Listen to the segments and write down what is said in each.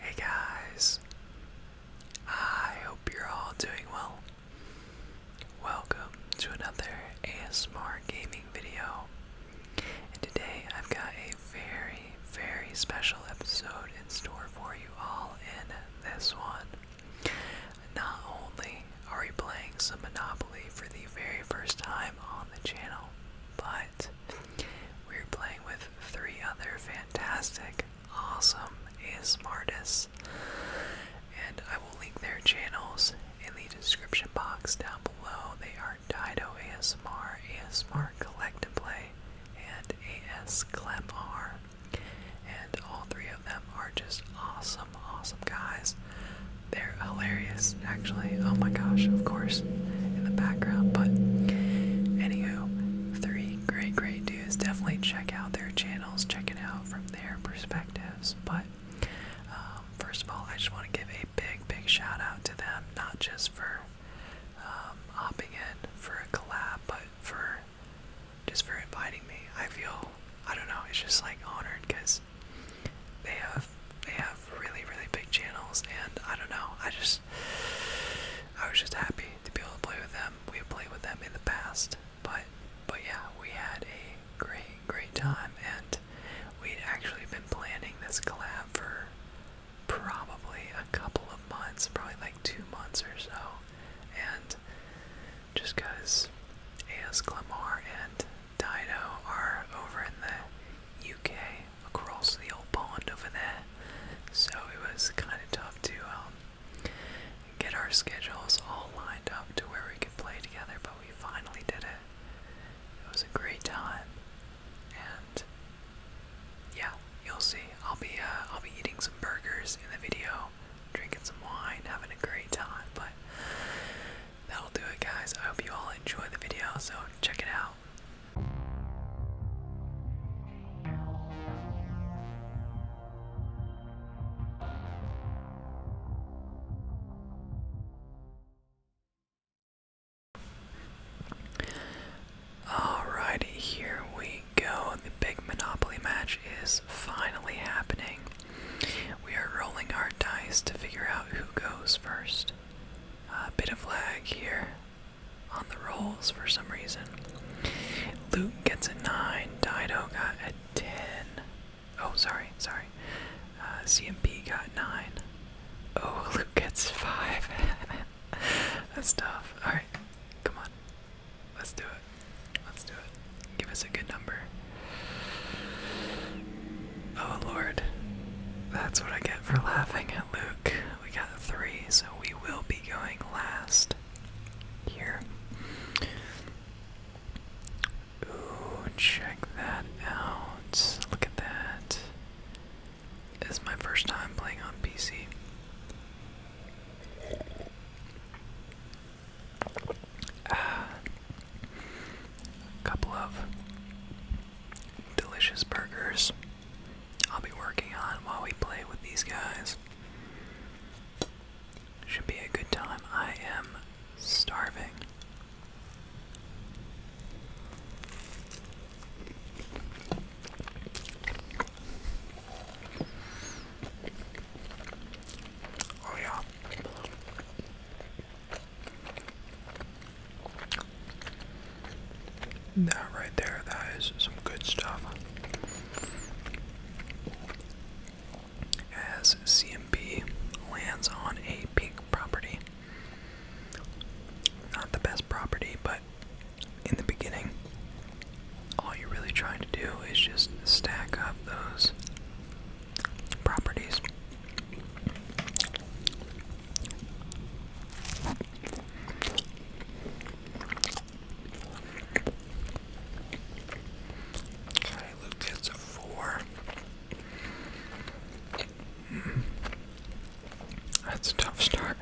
Hey guys, I hope you're all doing well. Welcome to another ASMR gaming video. And today I've got a very, very special episode in store for you all in this one. Not only are we playing some Monopoly for the very first time on the channel, but we were playing with three other fantastic, awesome ASMRtists, and I will link their channels in the description box down below. They are Dido ASMR, ASMR Collect Play, and AS Clem And all three of them are just awesome, awesome guys. They're hilarious, actually. Oh my gosh, of course, in the background. But, anywho, three great, great, dudes. Definitely check out their channels, check it out from their perspectives. But um, first of all, I just want to give a big, big shout out to them, not just for um, hopping in for a collab, but for just for inviting me. I feel, I don't know, it's just like honored because they have they have really, really big channels, and I don't know, I just I was just happy to be able to play with them. We have played with them in the past, but but yeah, we had a great great time, and we'd actually been planning this collab for probably a couple of months, probably like two months or so, and just because AS Clamar and Dido are over in the UK, across the old pond over there, so it was kind of tough to um, get our schedules all lined up to where we could play together, but we finally did it. It was a great time, and yeah, you'll see. I'll be uh, I'll be eating some burgers in the video, drinking some wine, having a great time. But that'll do it, guys. I hope you all enjoy the video. So check it out now. Alrighty, here we go. The big Monopoly match is finally happening. We are rolling our dice to figure out who goes first. A bit of lag here on the rolls for some reason. Luke gets a 9. Dido got a 10. Oh, sorry, sorry. Uh, CMP got 9. Oh, Luke gets 5. That's tough. Alright, come on. Let's do it. Let's do it. Give us a good number. Oh, Lord. That's what I get for laughing at Luke we got three, so we will be going last here. Ooh, check that out. Look at that. This is my first time playing on PC. Ah, couple of delicious burgers. I'll be working on while we play with these guys. Should be a good time. I am starving. Oh, yeah. That right there, that is some good stuff. As CMB lands on a pink property. Not the best property, but in the beginning, all you're really trying to do is just stack up those properties. Okay, Luke gets a four. Mm. That's a tough start.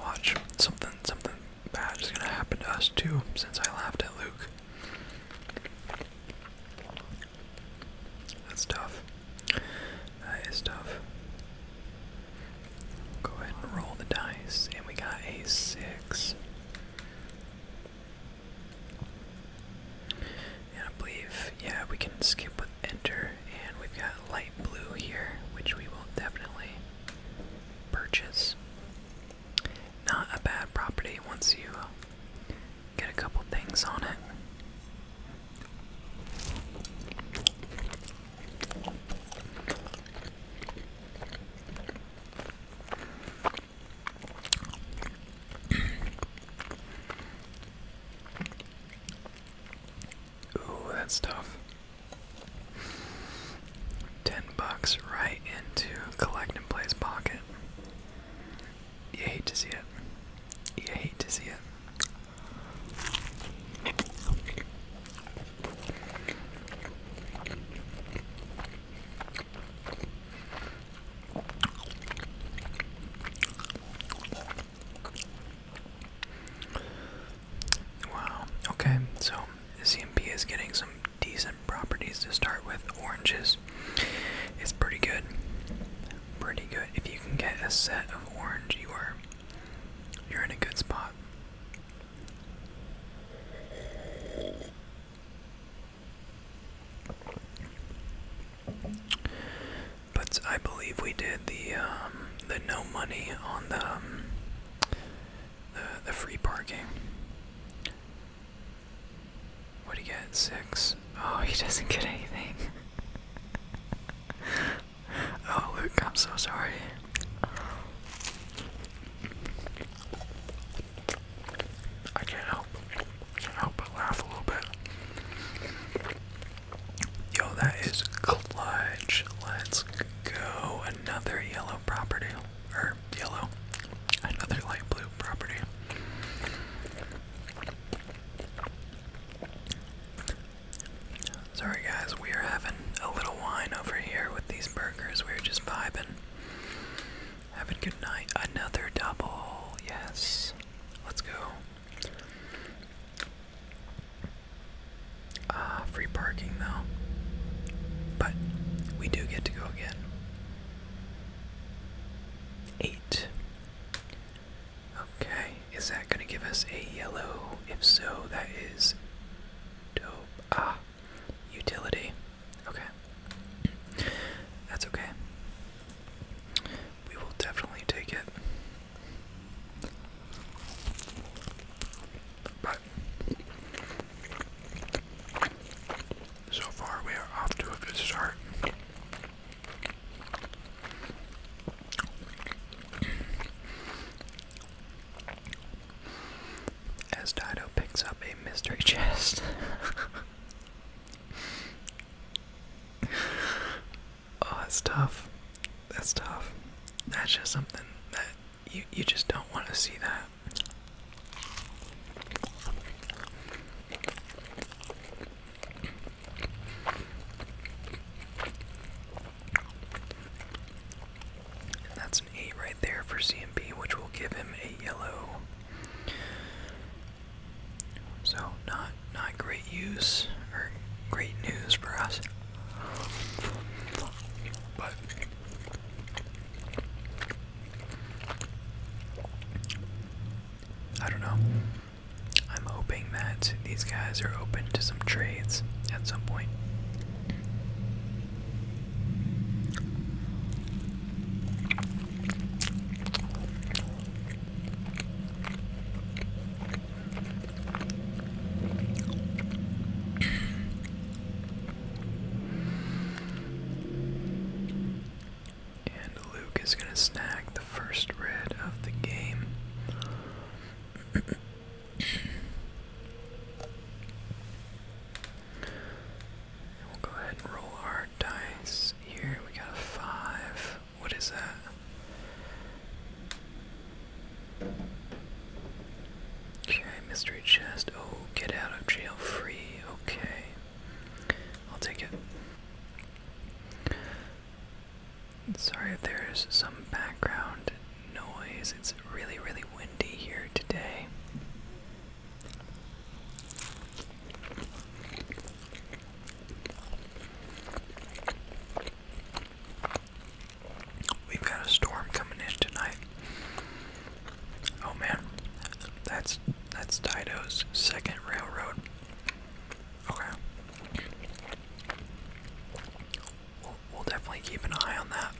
Watch something, something bad is gonna happen to us too. Since I laughed at Luke, that's tough. That is tough. Go ahead and roll the dice, and we got a six. And I believe, yeah, we can skip with enter, and we've got light blue here, which we will definitely purchase. Not a bad property once you get a couple things on it. Ooh, that's tough. Ten bucks right into collect and play's pocket. You hate to see it. You hate to see it. Wow. Okay, so CMP is getting some decent properties to start with. Oranges It's pretty good. Pretty good. If you can get a set of orange, you are you're in a good spot. But I believe we did the um, the no money on um, the, the free parking. What do you get? Six. Oh, he doesn't get anything. oh, Luke, I'm so sorry. I can't help, I can't laugh a little bit. Yo, that is clutch. Let's go. Another yellow property, or yellow, another light blue property. Sorry guys, we are having a little wine over here with these burgers. We're just vibing. Have a good night. Another double. Yes. Let's go. Ah, free parking now. But we do get to go again. Eight. Okay. Is that going to give us a yellow? If so, that is dope. Ah, utility. Okay. That's okay. We will definitely take it. But so far we are off to a good start. As Dido picks up a mystery chest. oh, that's tough. That's tough. That's just something that you you just don't want to see that that's an 8 right there for CMP, which will give him a yellow. So not not great use or great news for us. But I don't know. I'm hoping that these guys are open to some trades at some point. And Luke is going to snag the first red of the game we'll go ahead and roll our dice here. We got a five. What is that? Okay, mystery chest. Oh, get out of jail free. Okay. I'll take it. Sorry if there's some background noise. It's really, really windy here today. We've got a storm coming in tonight. Oh man, that's that's Tito's second railroad. Okay we'll, definitely keep an eye on that.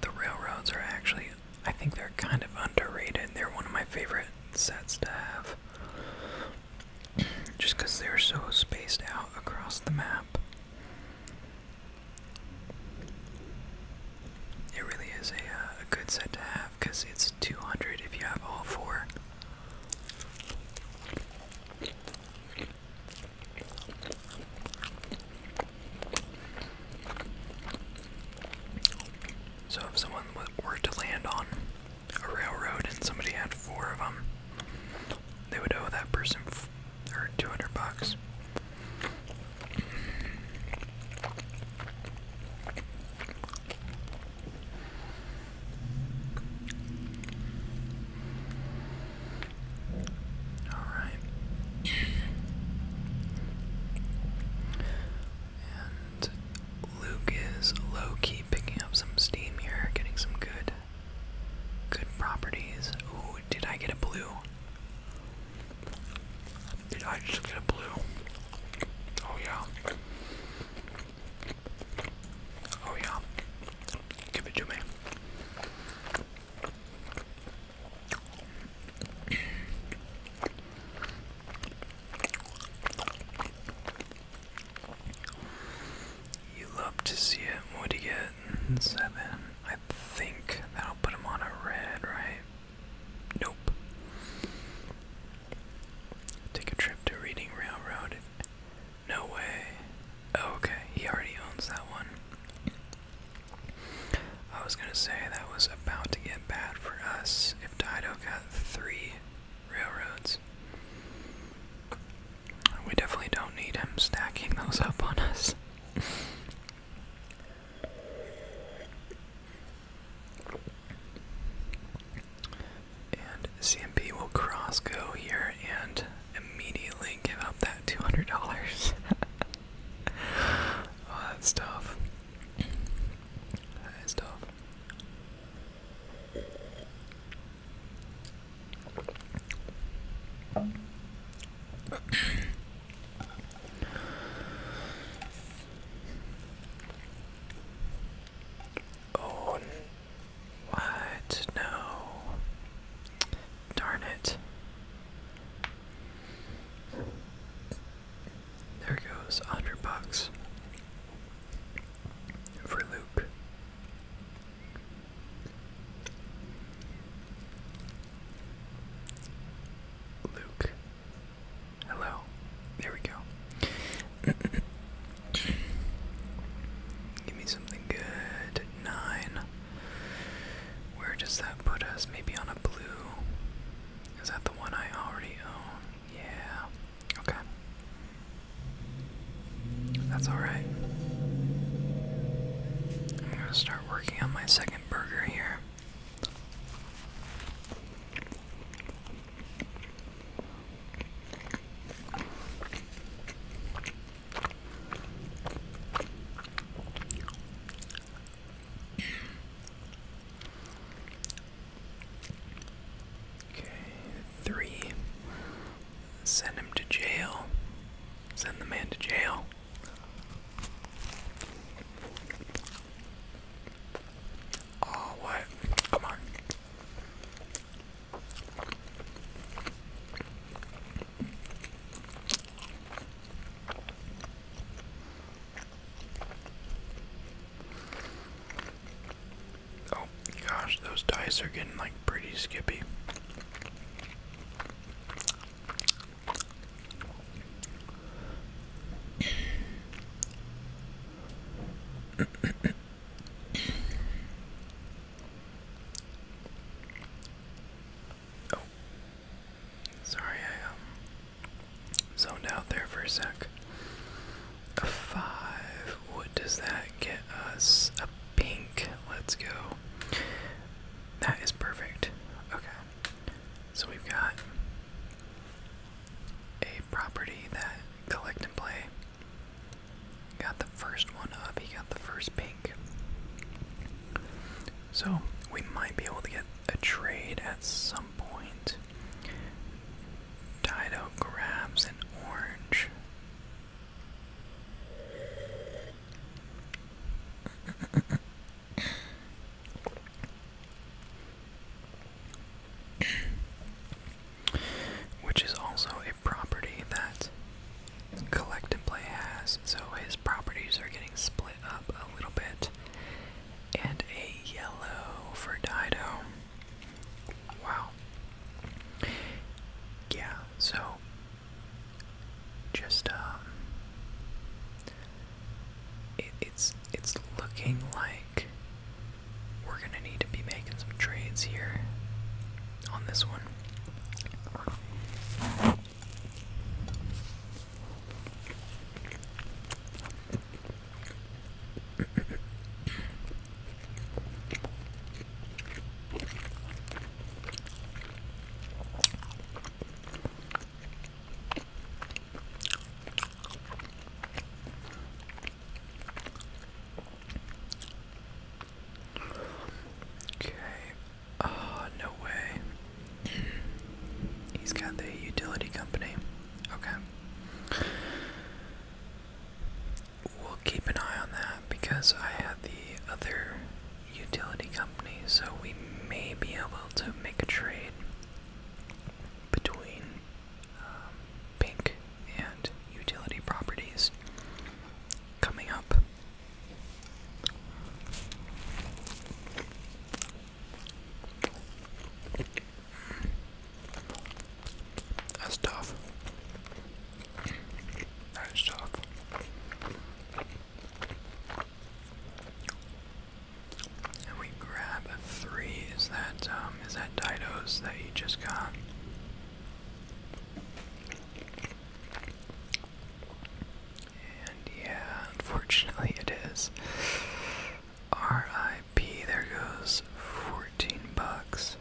The railroads are actually, I think they're kind of underrated. They're one of my favorite sets to have. Just because they're so spaced out across the map. It really is a, uh, a good set to have because it's 200 if you have all four. So if someone were to land on a railroad and somebody had four of them, they would owe that person or 200 bucks. All right. And Luke is low key picking up some steam here, getting some good good properties. Ooh, did I get a blue? Did I just get a blue? Oh yeah. Oh yeah. Give it to me. You love to see it. What do you get? Seven. I think that'll put him on a red, right? Nope. Take a trip to Reading Railroad. No way. Oh, okay, he already owns that one. I was gonna say that was about to get bad for us if Dido got three railroads. We definitely don't need him stacking those up on us. And CMP will cross go here and immediately give up that $200. oh, that's tough. That is tough. oh what? No. Darn it. There goes a hundred bucks for Luke. Luke. Hello. There we go. Give me something good. Nine. Where does that put us? Maybe on a blue. Is that the one I already own? Yeah. Okay. That's alright. I'm gonna start working on my second burger here. Okay, three. Send him to jail. Send the man to jail. Oh, what? Come on. Oh gosh, those dice are getting like pretty skippy. Oh. Sorry, I um zoned out there for a sec. A five. What does that get us? A pink. Let's go. That is perfect. Okay. So we've got a property that collect and play Got the first one up, he got the first pink. So we might be able to get a trade at some point. Dido grabs an orange which is also a property that Collect and Play has. So his properties are getting split up a little bit. And a yellow for Dido. Wow. Yeah, so just um it, it's it's looking like we're gonna need to be making some trades here on this one. Okay. Oh, no way. He's got the utility company. Okay. We'll keep an eye on that because I had the other utility company, so we may be able to make a trade between um, Pink and utility properties coming up. That's tough. That is tough. And we grab a three. Is that um is that Dido's that you just got? And yeah, unfortunately it is. RIP, there goes 14 bucks.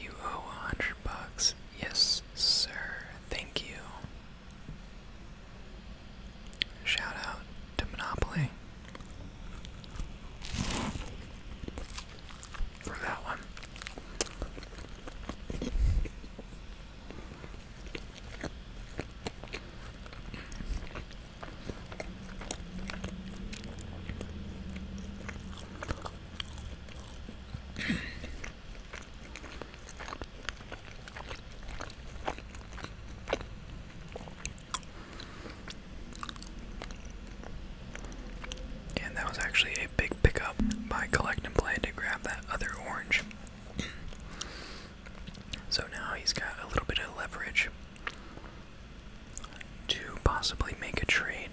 You owe a hundred bucks. Yes, sir. Thank you. Shout to Monopoly for that one and that was actually a big pickup by Collect and Play to grab that other orange. so now he's got a little bit of leverage to possibly make a trade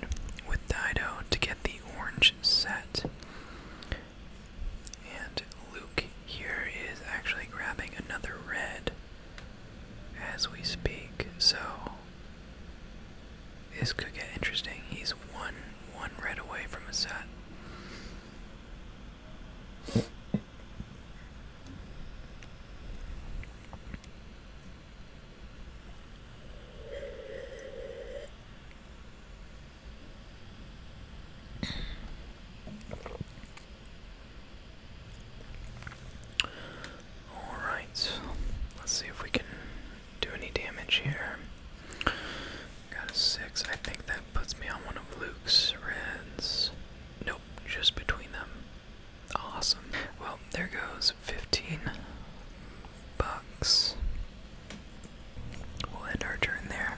with Dido to get the orange set. And Luke here is actually grabbing another red as we speak, so this could get interesting. He's one one red away from a set. All right, let's see if we can do any damage here. Got a six. I think that puts me on one of Luke's reds. Nope, just between them. Awesome. Well, there goes 15 bucks. We'll end our turn there.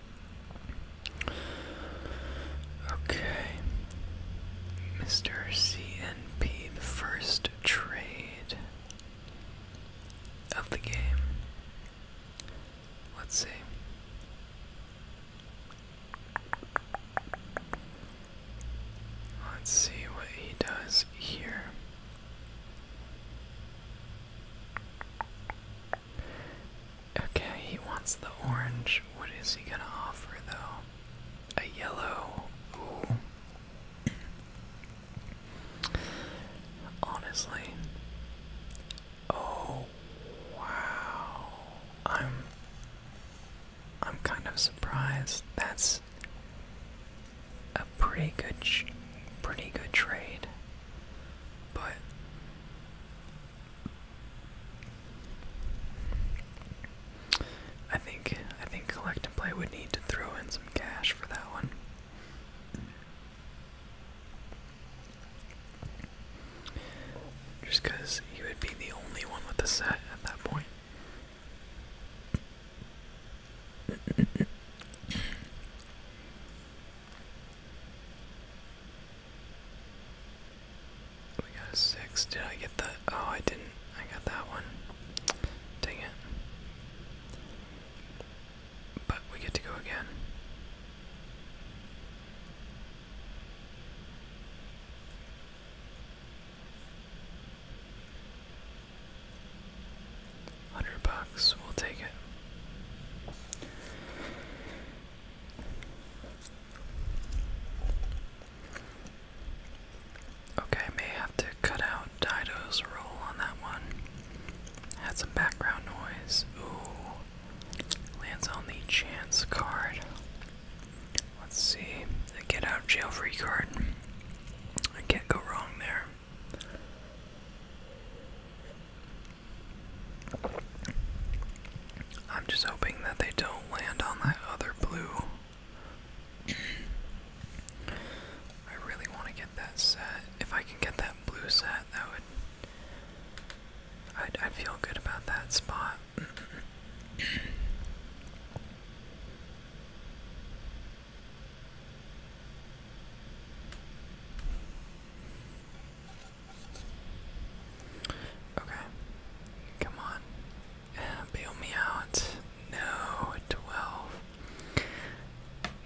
Okay. Mr. CNP, the first trade of the game. Let's see. Let's see what he does here. Okay, he wants the orange. What is he gonna offer though? A yellow. Ooh. Honestly. Oh wow. I'm I'm kind of surprised. That's a pretty good pretty good trade. But I think I think collect and play would need to throw in some cash for that one. Just because he would be the only one with the set at that point. We got a six. Did I get that? Oh, I didn't. I got that one. Dang it. But we get to go again. Hundred bucks, we'll take it. Okay, may have to cut out Dido's roll on that one. Had some background noise. Ooh. Lands on the chance card. Let's see. The get out jail free card. I can't go wrong there. I'm just hoping that they don't land on that other blue. I really want to get that set. If I can get that blue set, that would. I'd, I'd feel good about that spot. Okay. Come on. Uh, bail me out. No, 12.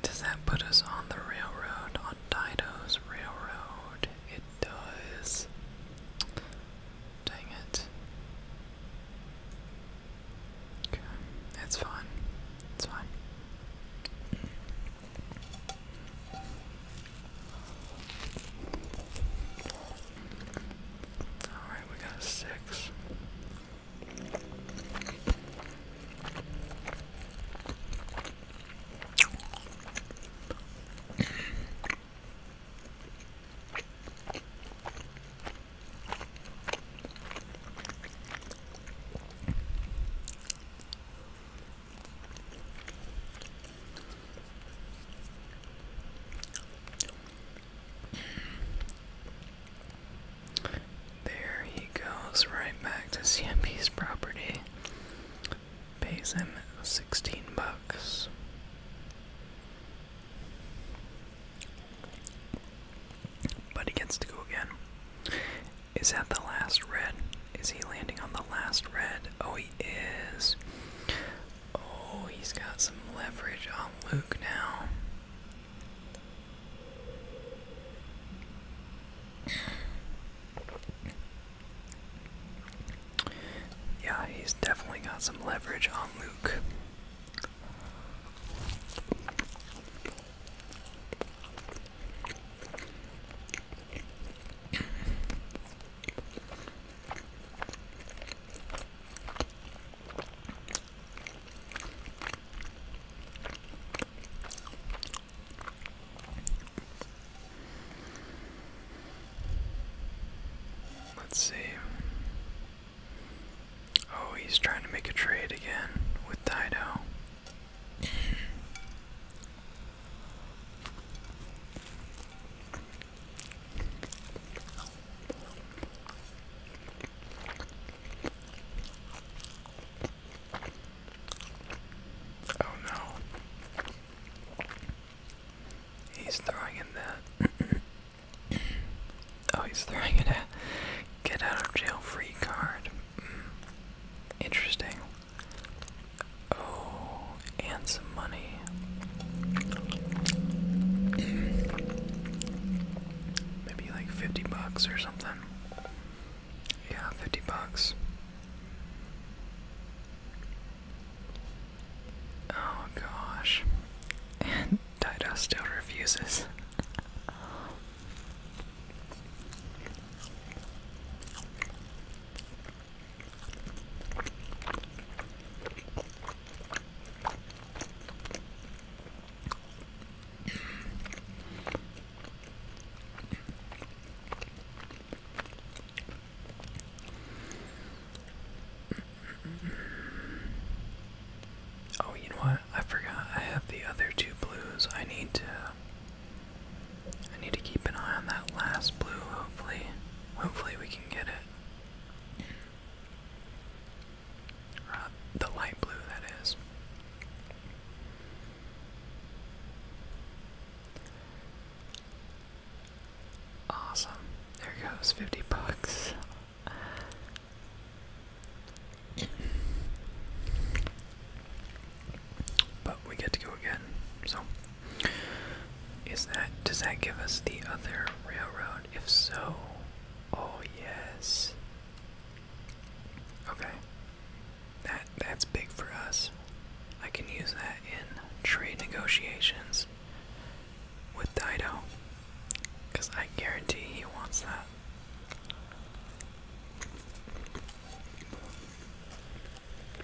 Does that put us on the railroad? On Dido's railroad? It does. Dang it. Okay, it's fine. It's fine. Alright, we got six. There he goes right back to CMP's property. Pays him 16 bucks. But he gets to go again. Is that the last red? Is he landing on the last red? Oh, he is. Oh, he's got some leverage on Luke now. Yeah, he's definitely got some leverage on Luke. Let's see. Oh, he's trying to make a trade again with Dido. Oh no. He's throwing in that. oh, he's throwing in a get out of jail free card. Hmm. Interesting. Oh, and some money. Maybe like 50 bucks or something. Yeah, 50 bucks. Oh gosh. And Dido still refuses. Oh, you know what? I forgot. I have the other two blues. I need to I need to keep an eye on that last blue. Hopefully, hopefully we can get it the light blue, that is. Awesome. There goes 50 bucks. but we get to go again, so is that does that give us the other railroad? If so, oh yes. Okay. That that's big for us. I can use that in trade negotiations with Dido. Cause I guarantee he wants that.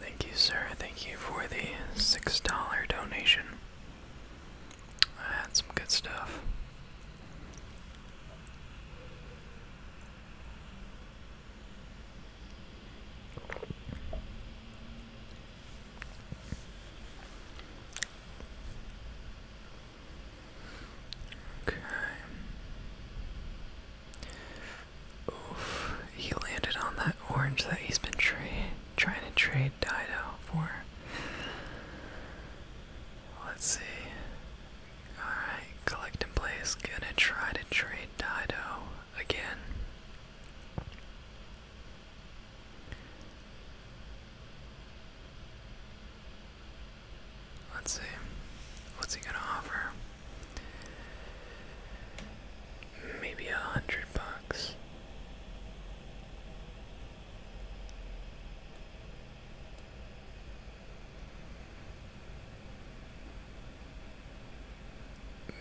Thank you, sir. Thank you for the $6 donation. That's some good stuff. Okay. Oof. He landed on that orange that he's been trying to trade Dido for. Let's see. Alright, collect and gonna try to trade Dido again. Let's see. What's he gonna offer? Maybe a hundred bucks.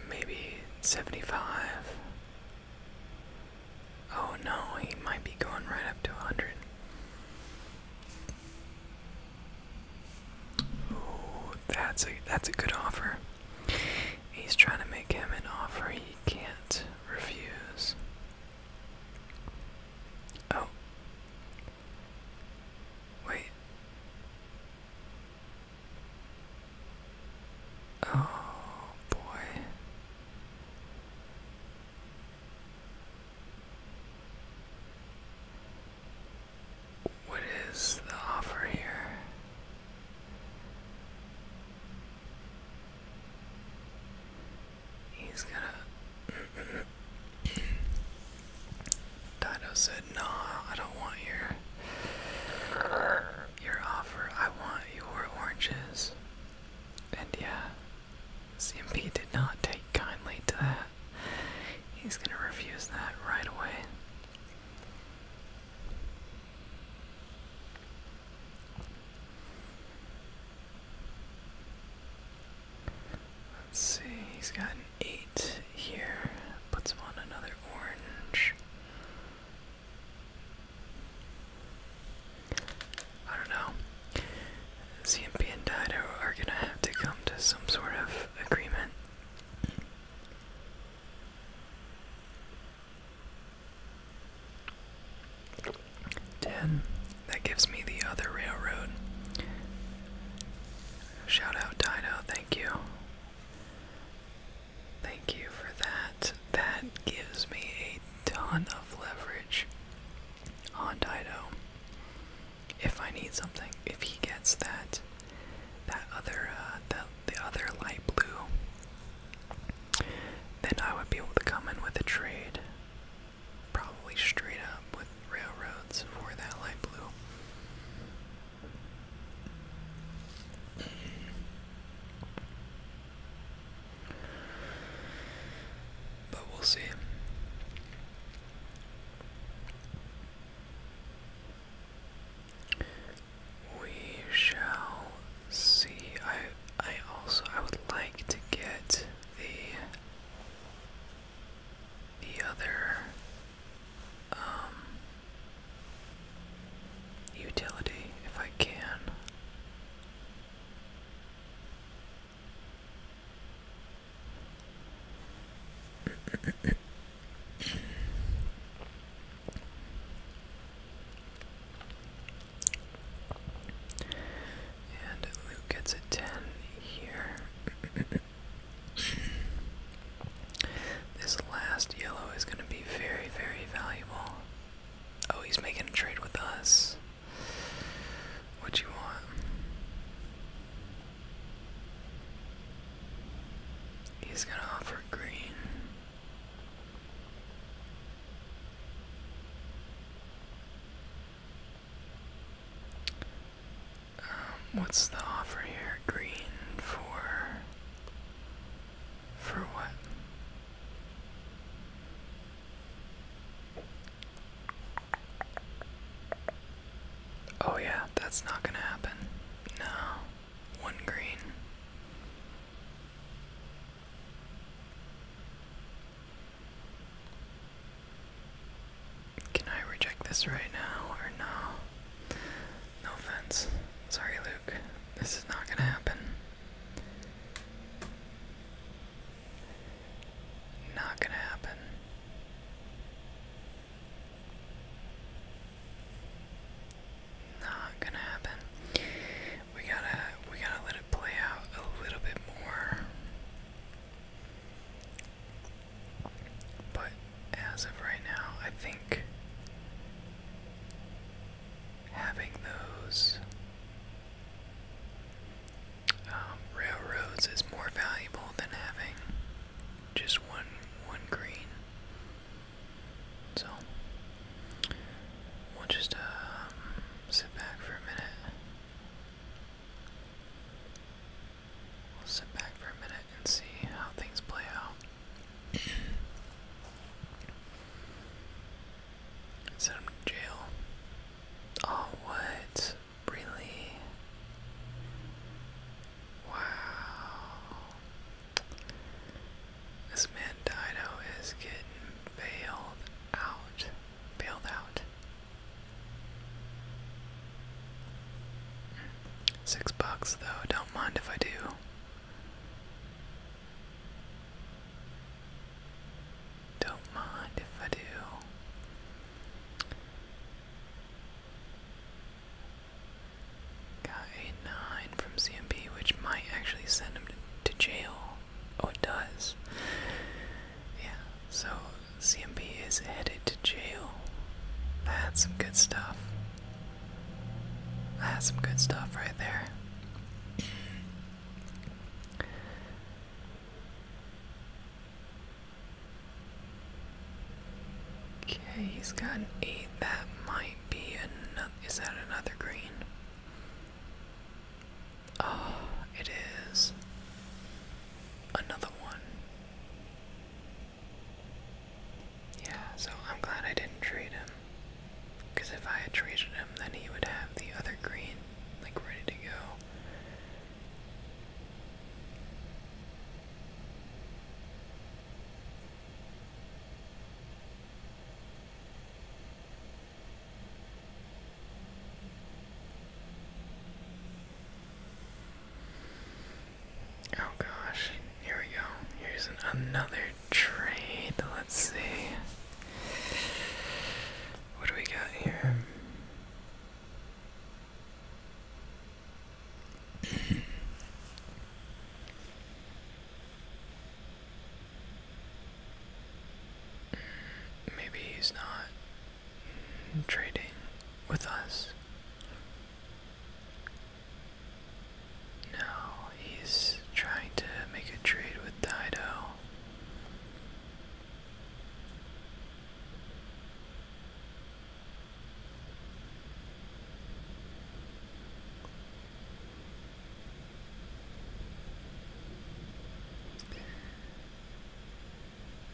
Maybe seventy five. Oh no, he might be going right up to a 100. Oh, that's a that's a good offer. He's trying to make him an offer he can't refuse. Oh. Wait. Oh boy. What is the offer here? He's gonna. Dino said, "No, I don't want your your offer. I want your oranges." And yeah, CMP did not take kindly to that. He's going to refuse that right away. Let's see, he's got an 8 here. Puts on another orange. I don't know. CMP and Dido are gonna have to come to some sort of agreement. Ten. That gives me the other railroad. Shout out Dido, thank you. Thank you for that. That gives me a ton of leverage on Dido. If I need something, if he gets that, that other, uh, that, the other light blue, then I would be able to come in with a trade, probably straight up with railroads for that light blue. But we'll see. We shall see. I I also I would like to get the the other um, utility if I can and Luke gets a 10 here. this last yellow is going to be very, very valuable. Oh, he's making a trade with us. What you want? He's gonna offer green. Um, what's the offer here? Green for for what? Oh, yeah, that's not gonna happen. No. One green. Can I reject this right now or no? No offense. Sorry, Luke. This is not gonna happen. Not gonna happen. Not gonna happen. We gotta we gotta let it play out a little bit more. But as of right now, I think having those um, railroads is more valuable than having just one one green. So we'll just um, sit back for a minute. We'll sit back for a minute and see how things play out. Sent him to jail. Oh, what? Really? Wow. This man Dido is getting bailed out. Bailed out. Six bucks, though. Don't mind if I do. Don't mind if I do. Got a 9 from CMP, which might actually send him to, to jail. Oh, it does. Yeah, so CMP is headed to jail. That's some good stuff. That's some good stuff right there. Okay, he's got an eight. That might be another. Is that another green? Oh, it is. Another one. Yeah, so I'm glad I didn't trade him. Because if I had traded him, then he would have the other green like ready to go. Oh gosh, here we go. Here's another trade. Let's see. What do we got here? Maybe he's not trading with us. No, he's trying to make a trade with Dido.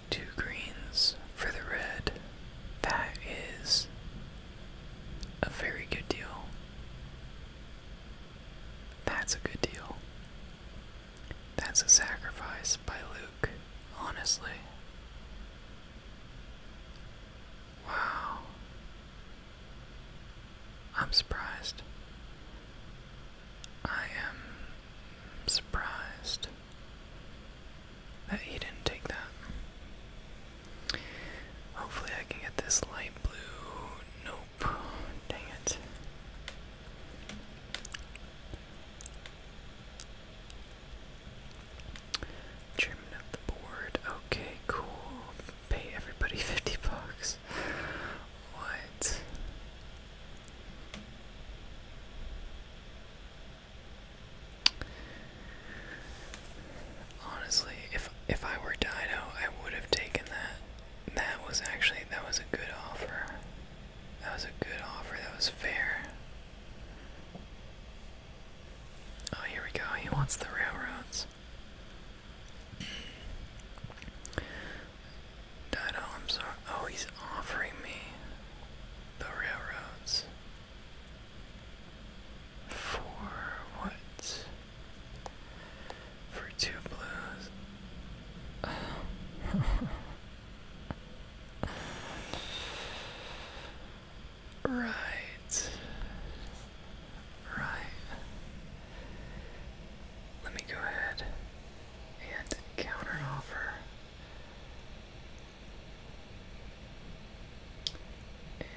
Two greens for the red. That is a very good deal. That's a good deal. That's a sacrifice by Luke, honestly. Wow. I'm surprised. I am surprised that he didn't take that. Hopefully, I can get this light blue. Nope. Dang it. Chairman of the board. Okay, cool. Pay everybody 50 bucks. What? Honestly, if if I were Dino, I would have taken that. That was actually that was a good offer. That was a good offer. That was fair. Oh, here we go. He wants the railroads. Dido, I'm sorry. Oh, he's offering me the railroads. For what? For two blues. right. Right. Let me go ahead and counter offer. And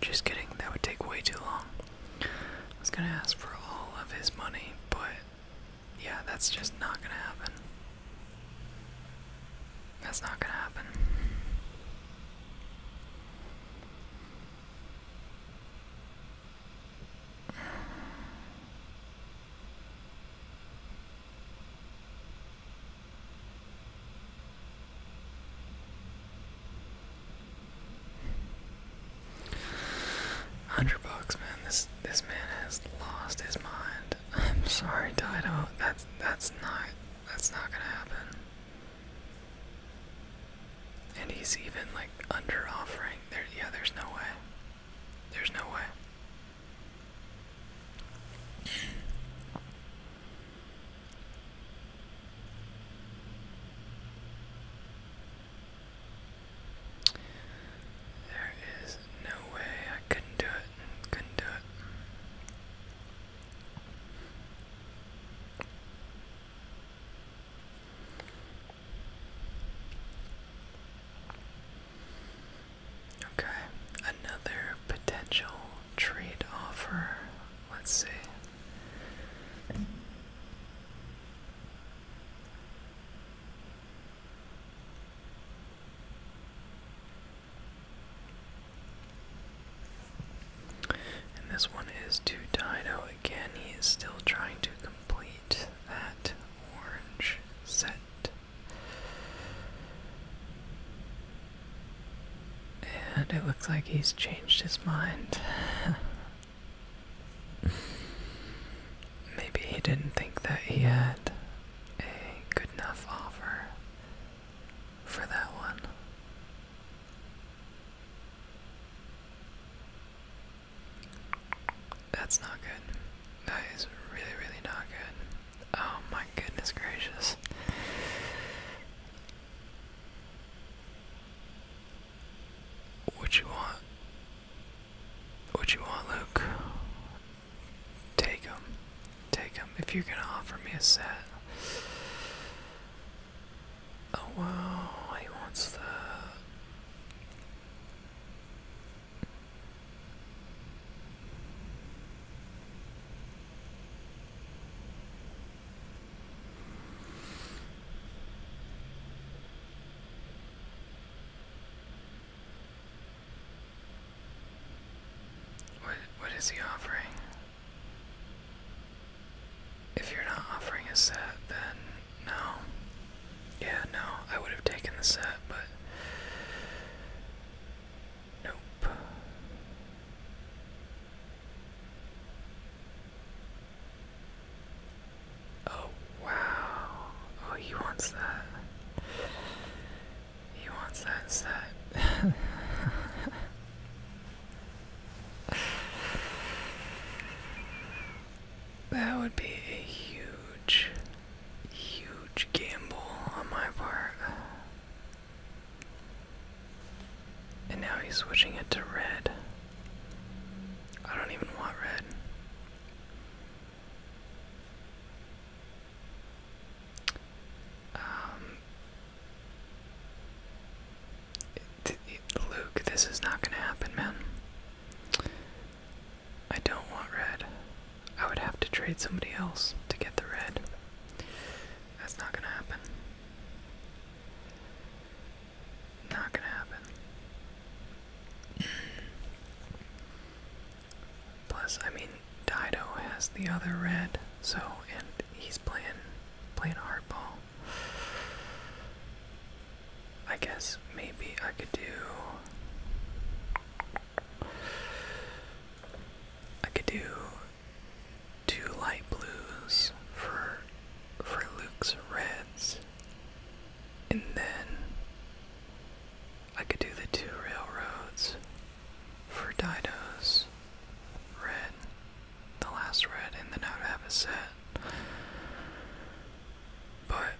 just kidding, that would take way too long. I was gonna ask for all of his money, but yeah, that's just not gonna happen. That's not gonna happen. Hundred bucks, man. This this man has lost his mind. I'm sorry, Dido. That's that's not that's not gonna happen. And he's even like under offering. There yeah, there's no way. There's no way. There is no way I couldn't do it. Couldn't do it. Okay, another potential trade offer. Let's see. And this one is to Dino again. He is still trying to complete that orange set. And it looks like he's changed his mind. Maybe he didn't think that he had a good enough offer for that one. That's not good. That is really, really not good. Oh my goodness gracious. What you want? What you want, Luke? Take him. Take him. If you're gonna offer me a set, Oh wow, he wants the What what is he offering? If you're not offering a set, then no. Yeah, no, I would have taken the set, but. Nope. Oh, wow. Oh, he wants that. He wants that set. That would be a huge, huge gamble on my part. And now he's switching it to red. I don't even want red. Um, Luke, this is not gonna happen, man. I don't want red. I would have to trade somebody else to get the red. That's not gonna happen. Not gonna happen. Plus, I mean, Dido has the other red, so, and he's playing playing hard ball. I guess maybe I could do I could do two light blues for for Luke's reds and then I could do the two railroads for Dido's red the last red, and then I would have a set. But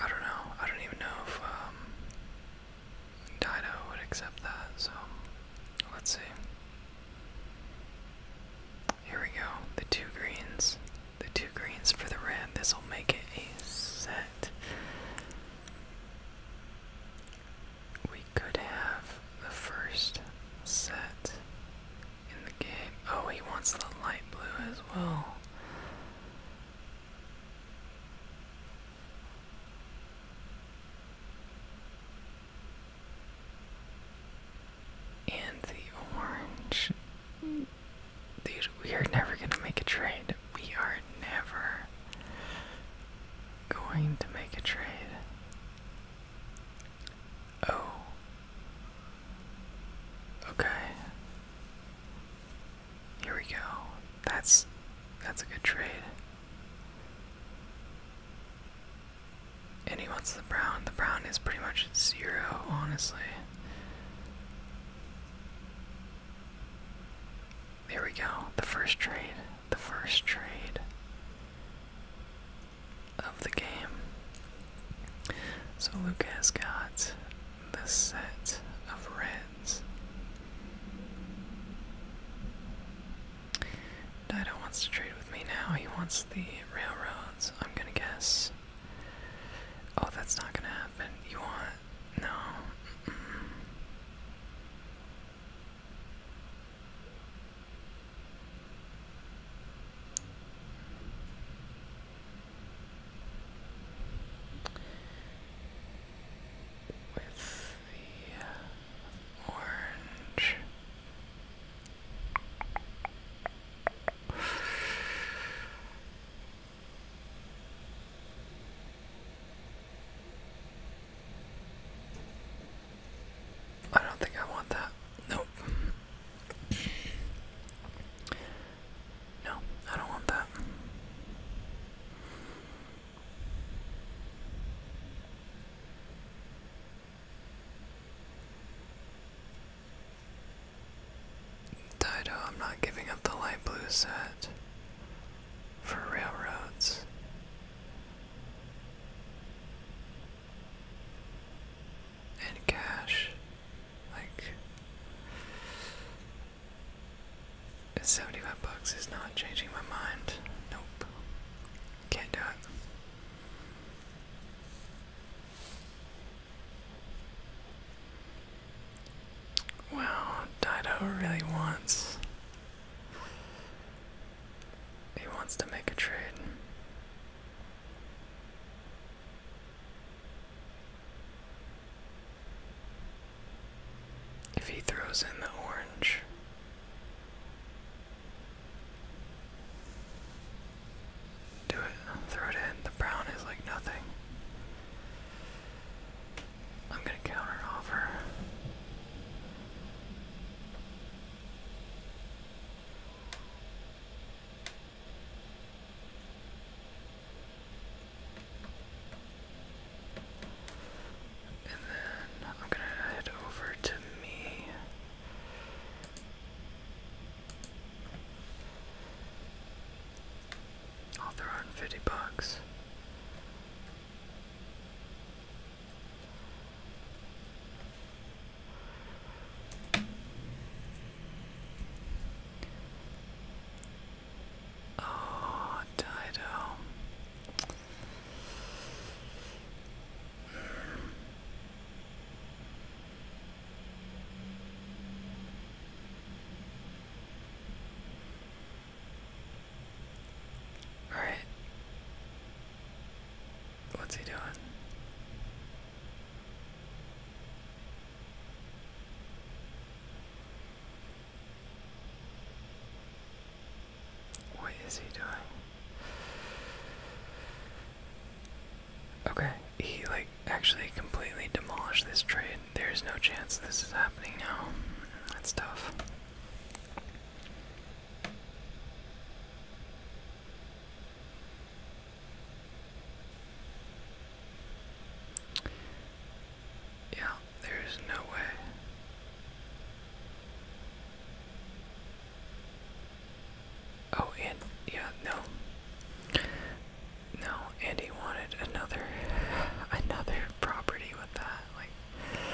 I don't know. I don't even know if um, Dido would accept that. So let's see. Here we go. The two greens. The two greens for the red. This will make it a set we could have the first set in the game. Oh, he wants the light blue as well. And the orange. Dude, we are never gonna make a trade. We are never going to make a trade. Oh. Okay. Here we go. That's that's a good trade. And he wants the brown. The brown is pretty much zero, honestly. There we go. The first trade the first trade of the game. So Lucas got the set of reds. Dido wants to trade with me now. He wants the railroads, I'm gonna guess. Oh, that's not gonna happen. You want. No with the orange. I don't think I want that. Nope. No, I don't want that. Dido, I'm not giving up the light blue set for railroads and cash. Like, seventy-five bucks is not changing my mind. Nope, can't do it. Well, Dido really wants he wants to make a trade. If he throws in the orange, do it, throw it in. The brown is like nothing. I'm gonna counter offer. And then I'm going to head over to me. I'll throw in 50 bucks. Oh, Dido. Hmm. All right. What's he doing? What is he doing? Okay, he like actually completely demolished this trade. There's no chance this is happening now. That's tough. Yeah, there is no way. Oh, and yeah, no. No, Andy wanted another another property with that. Like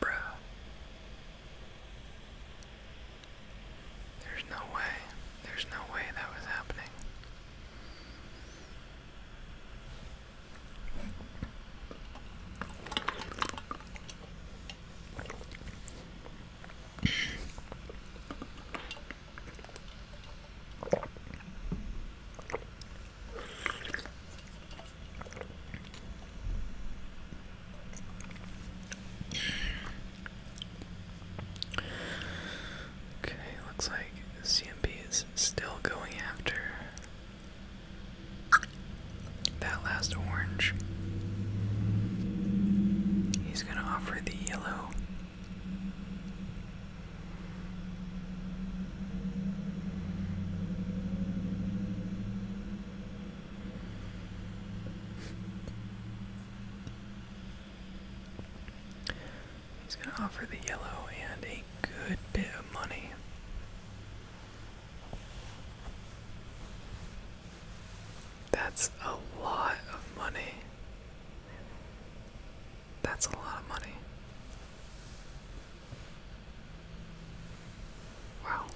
Bruh. There's no way. There's no way that was happening. Okay, looks like CMP is still going after that last orange. He's going to offer the yellow. He's going to offer the yellow and a good bit of money. That's a lot of money. That's a lot of money. Wow.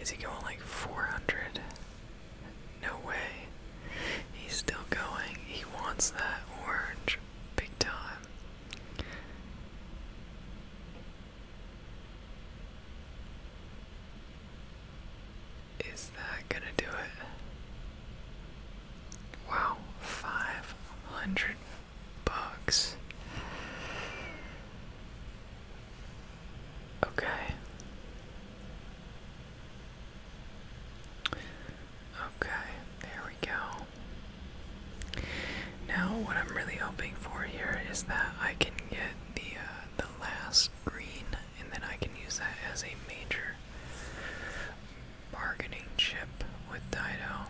Is he going like 400? No way. He's still going. He wants that orange big time. Is that gonna do it? Wow, 500 bugs. Okay. Okay, there we go. Now, what I'm really hoping for here is that I can get the uh, the last green, and then I can use that as a major bargaining chip with Dido.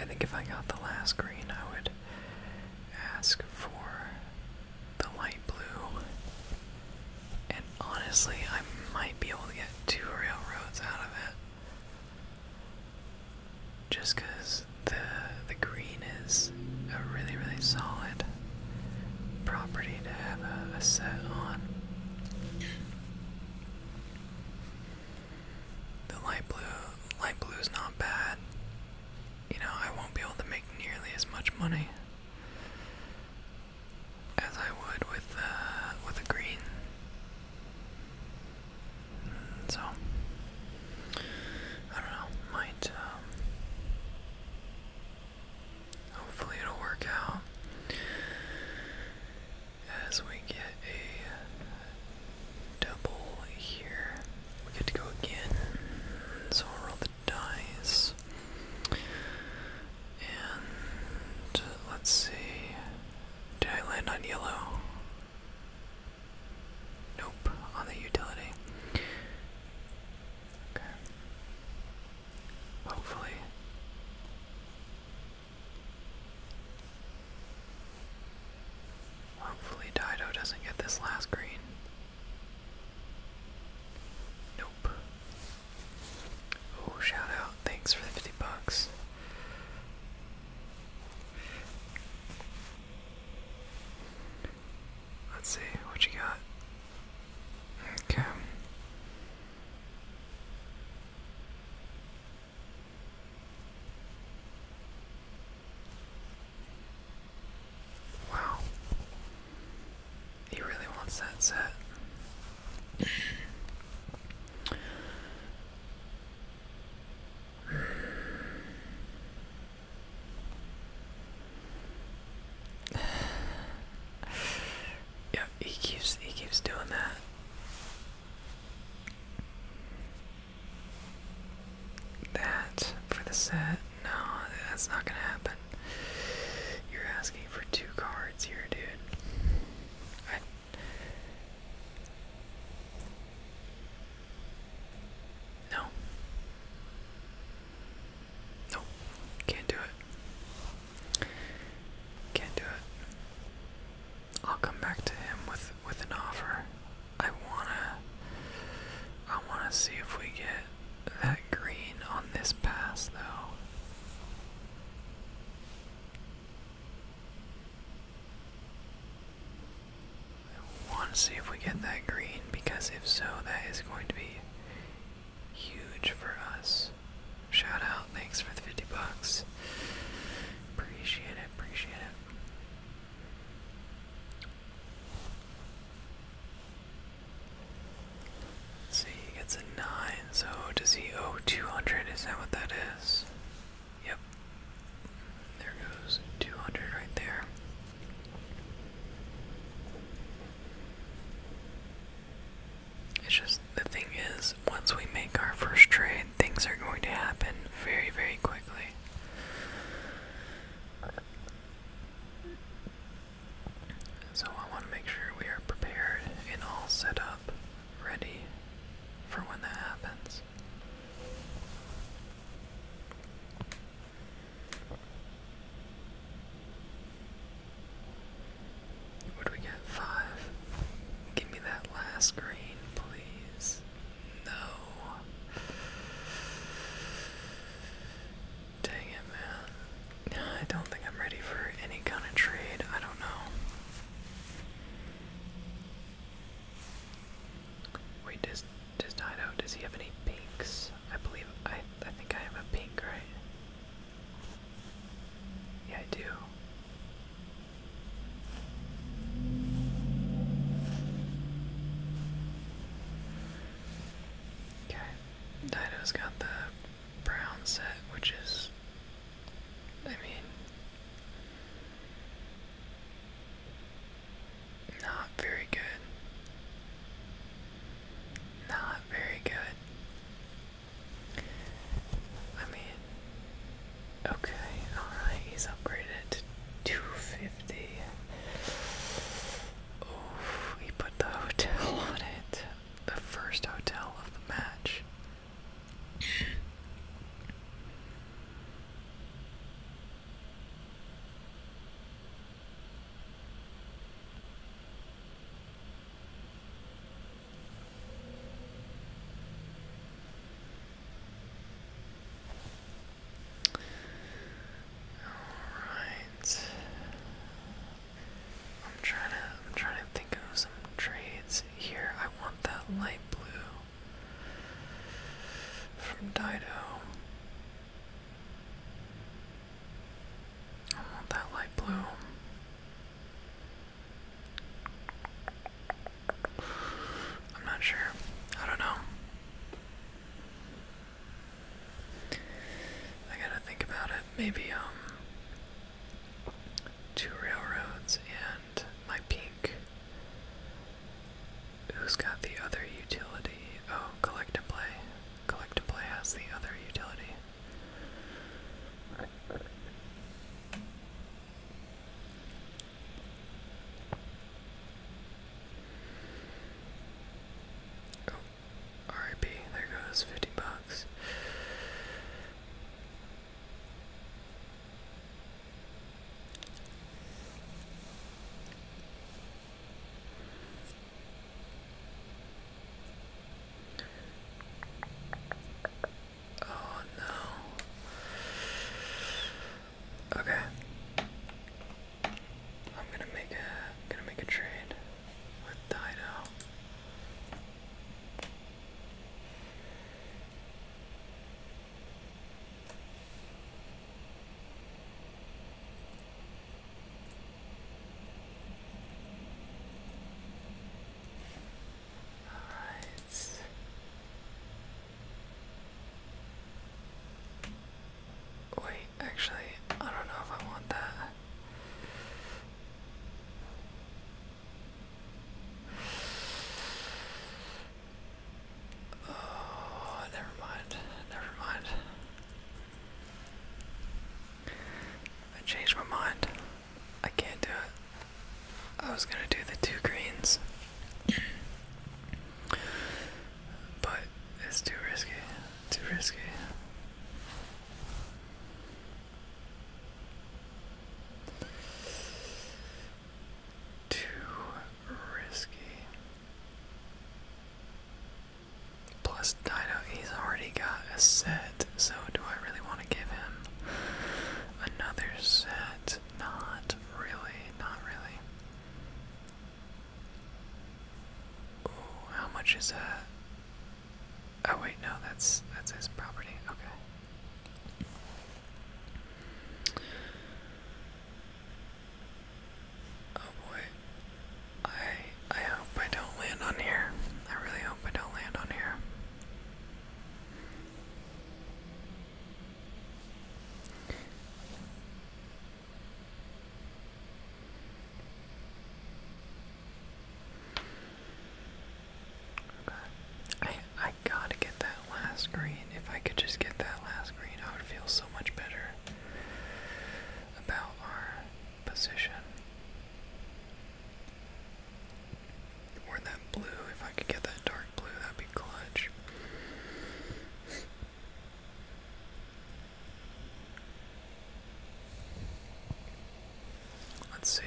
I think if I got the last green, I would ask for the light blue. And honestly, I might be able to get two railroads out of it. Just because the, the green is a really, really solid property to have a set on. The light blue, light blue is not bad. You know, I won't be able to make nearly as much money as I would with uh, with a green. Mm, so I don't know. Might um, hopefully it'll work out as we get a double here, we get to go again. So we will roll the dice. And let's see. Did I land on yellow? Nope, on the utility. Okay. Hopefully. Hopefully Dido doesn't get this last green. Nope. Oh, shout out. Thanks for the 50 bucks. Let's see what you got. Okay. Wow. He really wants that set. yeah, he keeps he keeps doing that that for the set. No, that's not gonna happen. You're asking for two cards here, dude. no. No. Can't do it. Can't do it. I'll come back to him with with an offer. I wanna I wanna see if we get that green on this pass though. I want to see if we get that green because if so that is going to be huge for us. Shout out, thanks for the 50 bucks. Appreciate it, appreciate it see, he gets a 9, so does he owe 200? Is that what that is? Yep. There goes 200 right there. It's just the thing is, once we make our first trade, things are going to happen very, very quickly. So I want to make sure we are prepared and all set up, ready for when that happens. Would we get five? Give me that last green, please. No. Dang it, man. I don't think I'm ready for any kind of trade. I don't know. Wait, does does Dido does he have any pinks? I believe I I think I have a pink, right? Yeah, I do. Okay, Dido's got the brown set, which is, I mean, not very good. Not very good. I mean, Okay, alright, he's upgraded to 250. Oof, he put the hotel on it. The first hotel of the match. Alright. I'm trying to I'm trying to think of some trades here. I want that light blue from Dido. I want that light blue. I'm not sure. I don't know. I gotta think about it. Maybe, um, two railroads and my pink. Who's got the other utility? Oh, collect play. Collect play has the other utility. Oh, RIP, there goes 50 bucks. Oh no. Okay. I'm gonna make ai I'm gonna make a trade with Dido. All right. Wait, actually, I don't know if I want that. Oh, never mind. Never mind. I changed my mind. I can't do it. I was gonna do the two greens. But it's too risky. Too risky. Too risky. Plus, Dino, he's already got a set, so do I really want to give him another set? Not really, not really how much is that? Oh wait, no, that's that's his property. Okay. Oh boy. I I hope I don't land on here. I really hope I don't land on here. I I gotta get that last green. If I could just get that last green, I would feel so much better about our position. Or that blue, if I could get that dark blue, that'd be clutch. Let's see.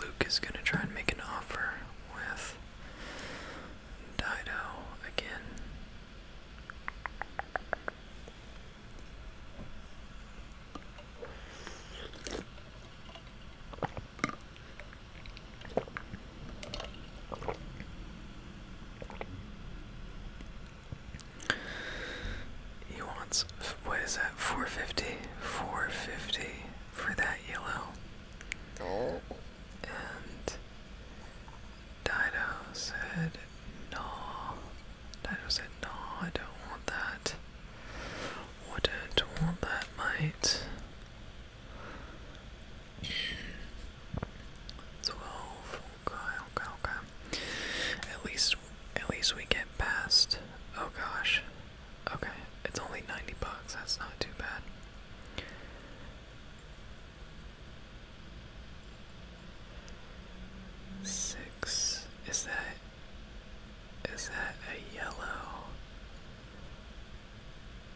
Luke is gonna try and make an offer with Dido again. He wants, what is that, 450? 450 for that yellow. Oh. And Dido said, no. Dido said, no, I don't want that. Wouldn't want that, mate. Twelve. Okay, okay, okay. At least, at least we get past. Oh gosh. Okay, it's only ninety bucks. That's not too bad. Six. Is that? Is that a yellow?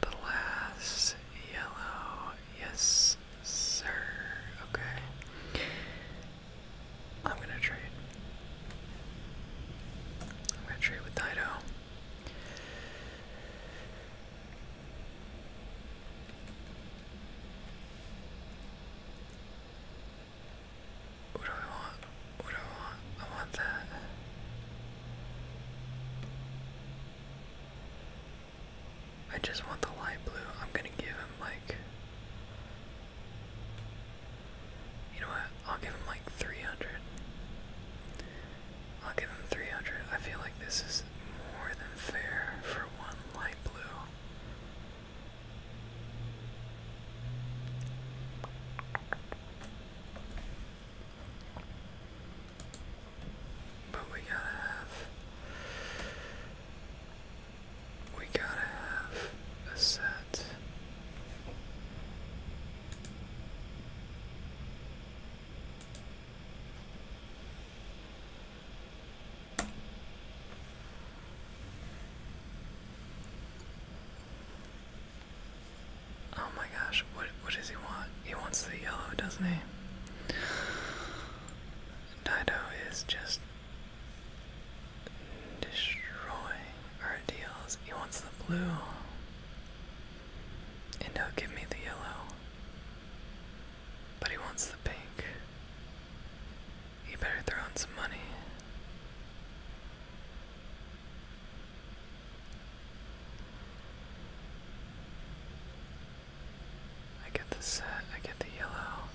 The last yellow. Yes, sir. Okay. I'm gonna trade. I'm gonna trade with Dido. What do I want? What do I want? I want that. I just want the light blue. I'm gonna give him like. You know what? I'll give him like 300. I'll give him 300. I feel like this is more than fair for one light blue. But we gotta have. We gotta have a set. Oh my gosh, what what, does he want? He wants the yellow, doesn't he? Dido is just destroying our deals. He wants the blue. And he give me the yellow. But he wants the pink. He better throw in some money. I get the set, I get the yellow.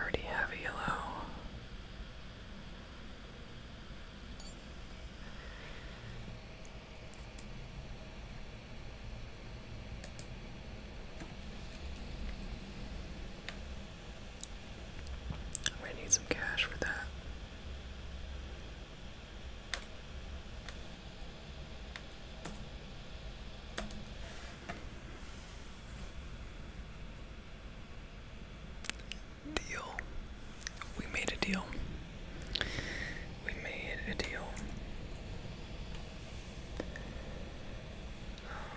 already have yellow. I'm gonna need some cash for that. Deal. We made a deal. We made a deal. Um,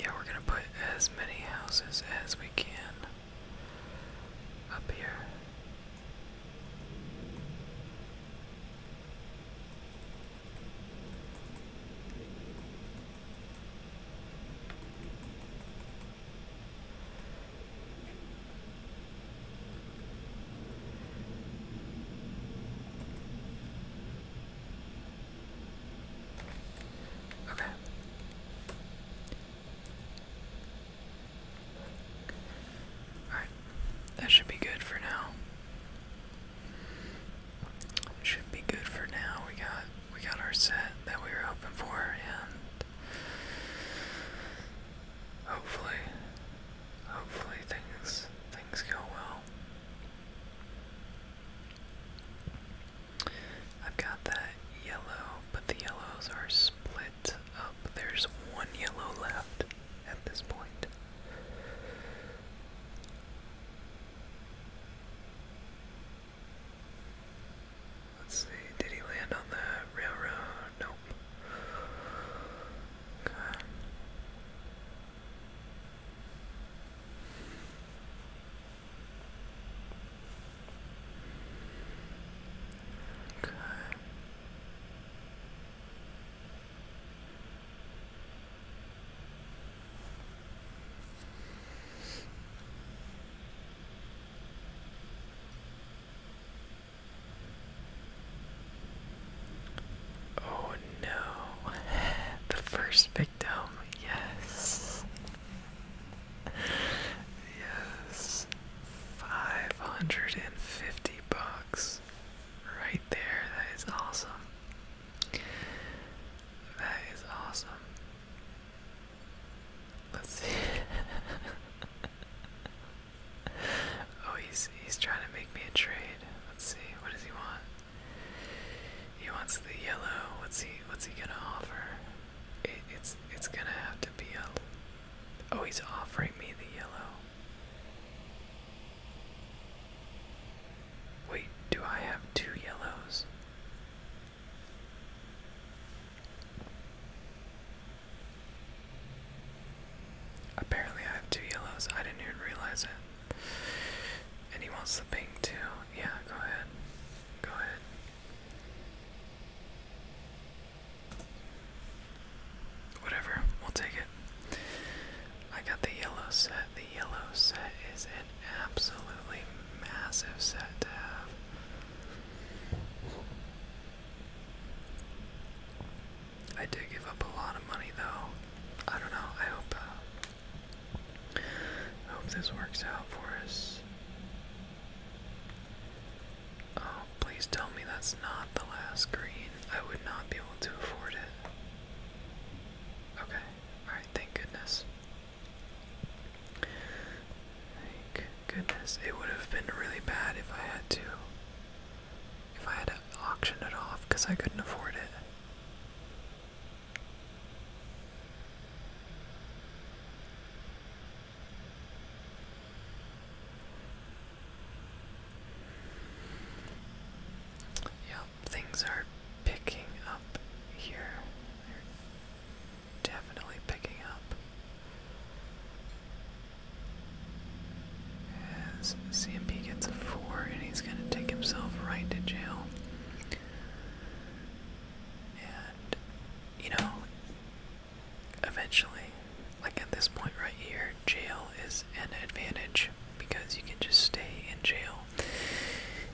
Yeah, we're gonna put as many houses as we can up here. Okay. Alright. That should be good for now. Should be good for now. We got we got our set that we were hoping for and hopefully hopefully things things go well. I've got that yellow, but the yellows are split up. There's one yellow left at this point. Let's see, did he land on the railroad? Nope. Okay. Okay. Oh no, the first big dome, yes. Yes. 550 bucks. Right there. That is awesome. That is awesome. Let's see. oh, he's he's trying to make me a trade. Let's see. What does he want? He wants the yellow. What's he? What's he gonna offer? It, it's it's gonna have to be a. Oh, he's offering me the yellow. Wait, do I have two yellows? Apparently, I have two yellows. I didn't even realize it. And he wants the pink too. Yeah, go ahead. Go ahead. Whatever, we'll take it. I got the yellow set. The yellow set is an absolutely massive set to have. I did give up a lot of money though. I don't know. I hope uh, I hope this works out for us. Oh, please tell me that's not the last green. I would not be able to afford it. Okay, alright, thank goodness. Thank goodness. It would have been really bad if I had to. If I had auctioned it off because I couldn't afford it. Yep, things are picking up here. definitely picking up. As CMP gets a four and he's gonna take himself right to jail. And, you know, eventually, like at this point right here, jail is an advantage because you can just stay in jail.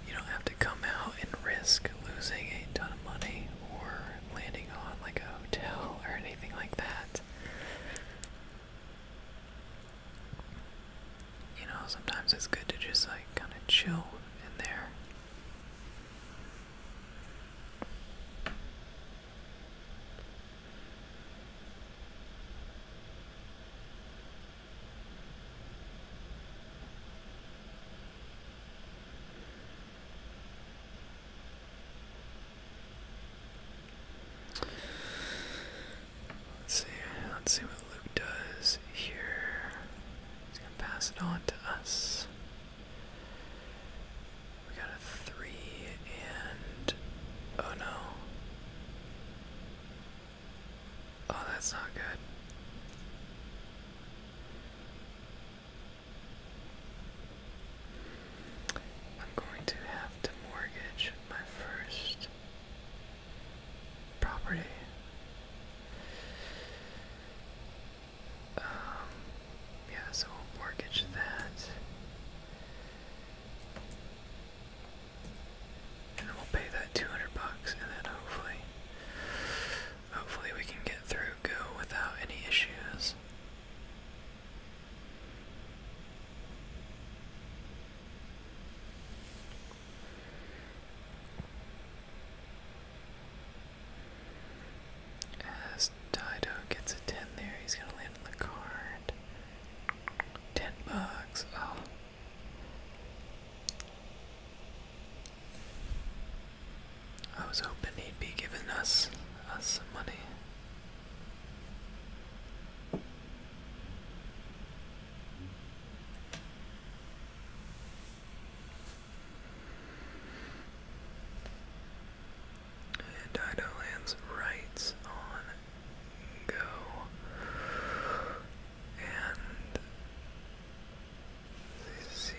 You don't have to come out and risk losing a ton of money or landing on like a hotel or anything like that you know, sometimes it's good to just like kind of chill in there. Let's see. Let's see what Luke does here. He's going to pass it on to us. We got a three and. Oh no. Oh, that's not good. I'm going to have to mortgage my first property. Um, yeah, so mortgage that. And then we'll pay that 200 bucks, and then hopefully, hopefully we can get through Go without any issues. As Dido gets a 10 there, he's going to land on the card. 10 bucks. Oh. I was hoping he'd be giving us us some money. And Dido on go. And see,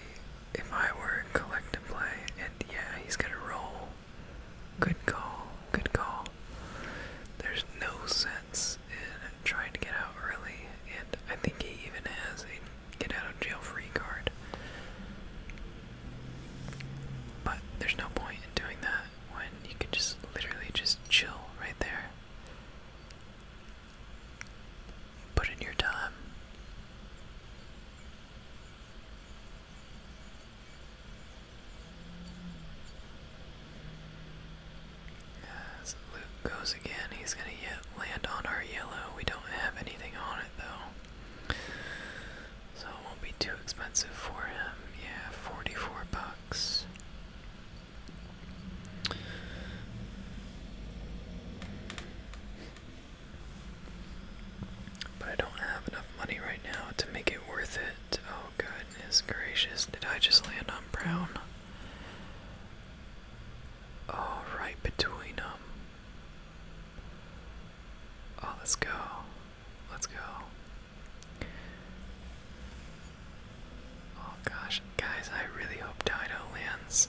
if I were collect play, and yeah, he's gonna roll. Good call, good call. There's no sense is trying to get out early, and I think he even has a get out of jail free card. But there's no point in doing that when you can just literally just chill right there. Put in your time. As Luke goes again, he's going to yet land on our yellow. We don't have anything on it though. So it won't be too expensive for him. Yeah, 44 bucks. But I don't have enough money right now to make it worth it. Oh goodness gracious, did I just land on brown? oh, right between them. Oh, let's go. Let's go. Oh gosh, guys, I really hope Dido lands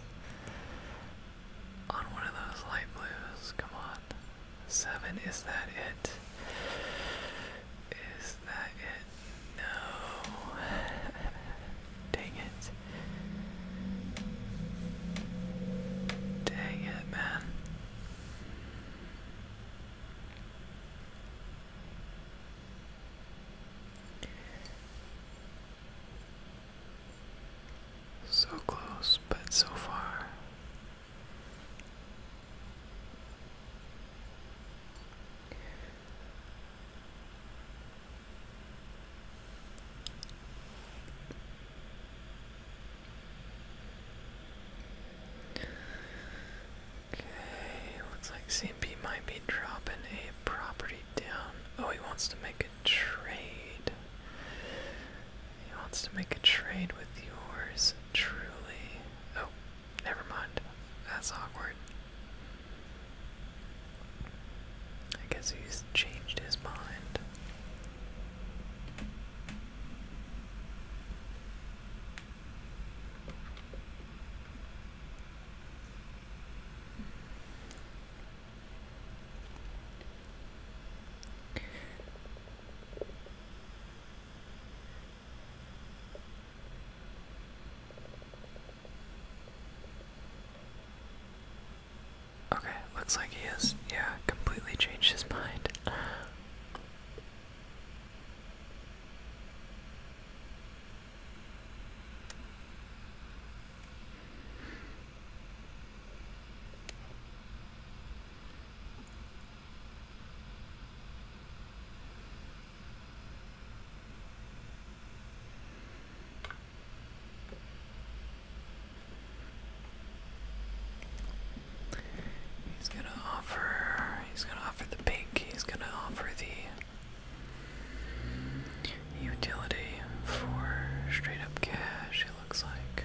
on one of those light blues. Come on. Seven, is that it? Is that it? No. Dang it. Dang it, man. So close, but so far. Okay, looks like CMP might be dropping a property down. Oh, he wants to make a trade. He wants to make a trade with yours truly. Oh, never mind. That's awkward. I guess he's changed his mind. Okay, looks like he has, yeah, completely changed his mind. He's gonna offer. He's gonna offer the pink. He's gonna offer the utility for straight up cash. It looks like.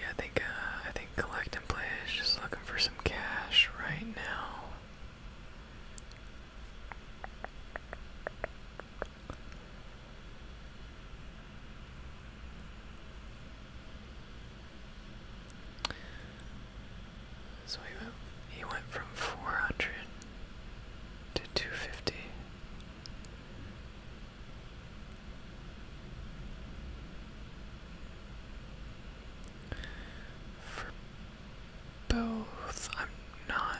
Yeah, I think uh, I think collect and play is just looking for some cash right now. So he went from 400 to 250. For both, I'm not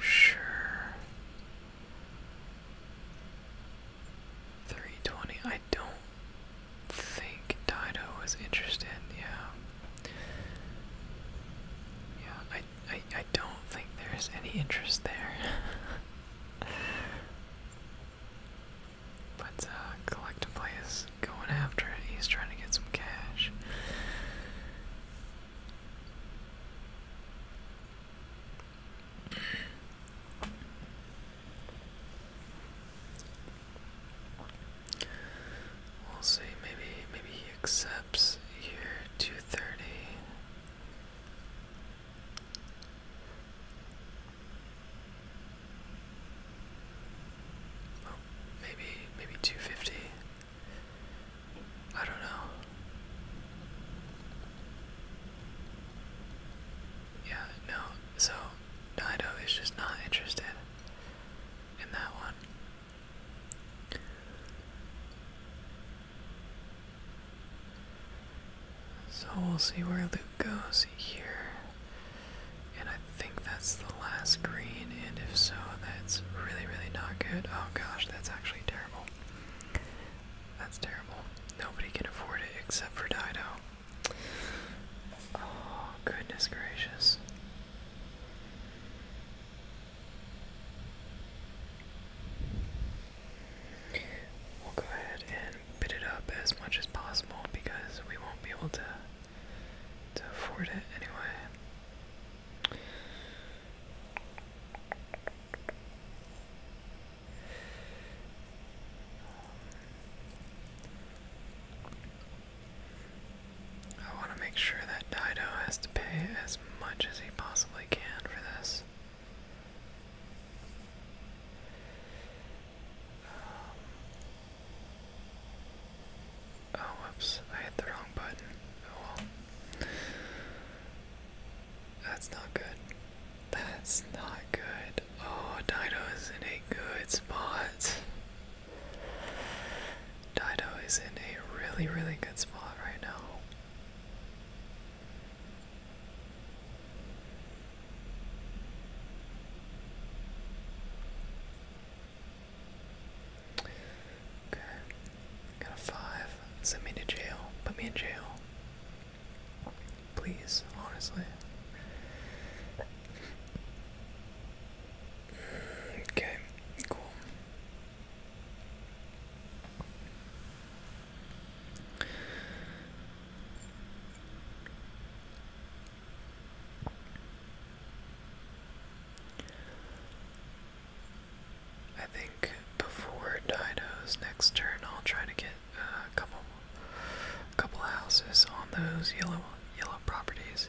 sure. 320. I don't think Dido was interested, yeah. Yeah, I I I don't think there's any interest there. but uh collectively is going after it. He's trying to get some cash. We'll see. Maybe maybe he accepts here two thirty. maybe maybe two fifty. I don't know. Yeah, no, so Nido is just not interested in that one. So we'll see where Luke goes here. And I think that's the last green, and if so, that's really, really not good. Oh gosh, that's actually terrible. That's terrible. Nobody can afford it except for Dido. Oh, goodness gracious. We'll go ahead and bid it up as much as possible because we won't be able to to afford it anyway. I want to make sure that Dido has to pay as much as he possibly can for this. Um, oh, whoops, I hit the wrong button. Oh That's not good. That's not good. Oh, Dido is in a good spot. Dido is in a really, really good spot right now. Okay, got a five. Send me to jail. Put me in jail. Please, honestly. Okay, cool. I think before Dido's next turn, I'll try to get uh, a couple, couple houses on those yellow, yellow properties.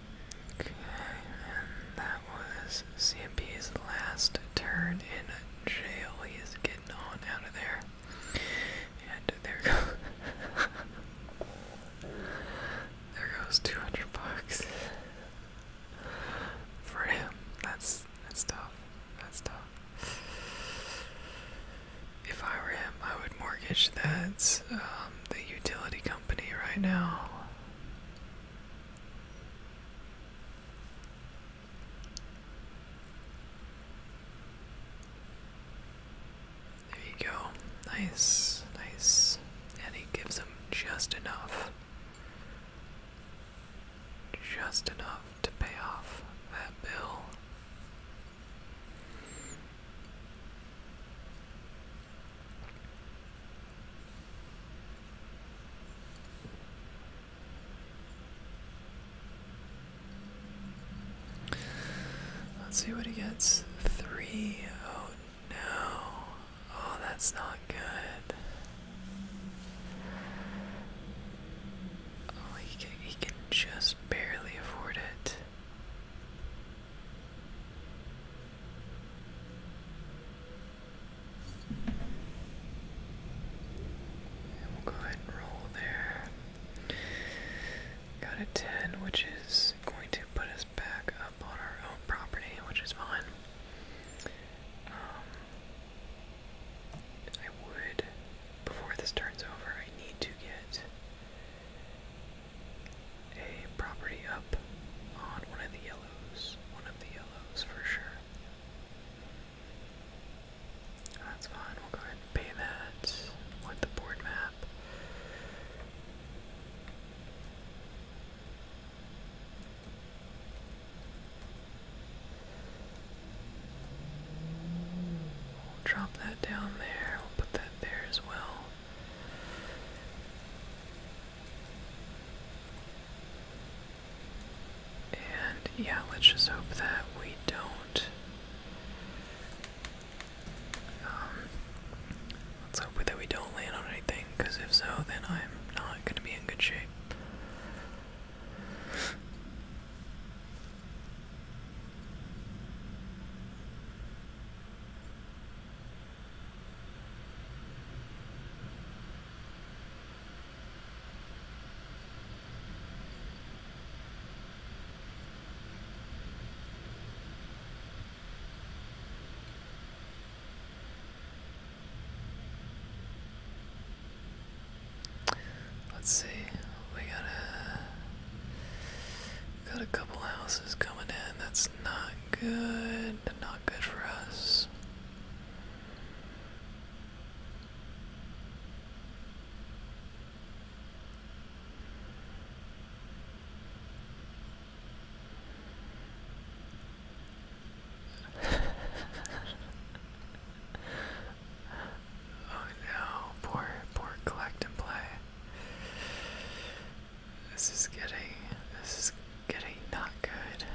Okay, and that was CMP's last turn in jail. He is getting on out of there. And there goes There goes two hundred bucks. For him. That's that's tough. That's tough. If I were him, I would mortgage that's um, the utility company right now. There you go. Nice, nice. And he gives him just enough. Just enough to pay off that bill. Let's see what he gets. Three. Oh no. Oh, that's not good. Oh, he can, he can just barely afford it we'll go ahead and roll there. Got a 10, which is going to put us back up on our own property, which is fine. Um, I would, before this turns over, I need to get a property up on one of the yellow one of the yellows for sure. That's fine, we'll go ahead and pay that with the board map. We'll drop that down there, we'll put that there as well. And yeah, let's just hope that we don't. Um, let's hope that we don't land on anything, because if so, then I'm not going to be in good shape. Let's see, we got a got a couple houses coming in. That's not good. Not good for us oh no, poor, poor collect play. This is getting, this is getting not good.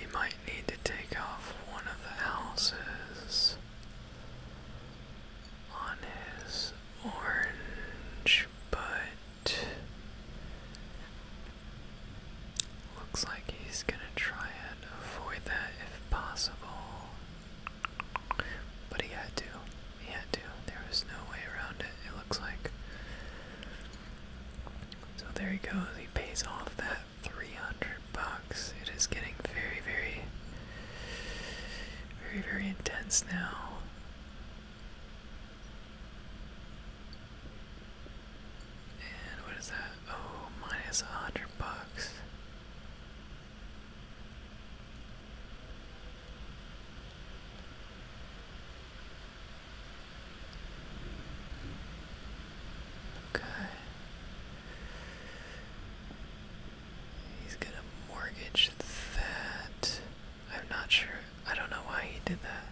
You might need to take off one of the houses on his orange, but Looks like he's gonna try and avoid that if possible. But he had to. He had to. There was no way around it, it looks like. So there he goes. He pays off that 300 bucks. It is getting very, very, very, very intense now. And what is that? Oh, minus a hundred bucks. Okay. He's gonna mortgage that. I'm not sure. I don't know why he did that.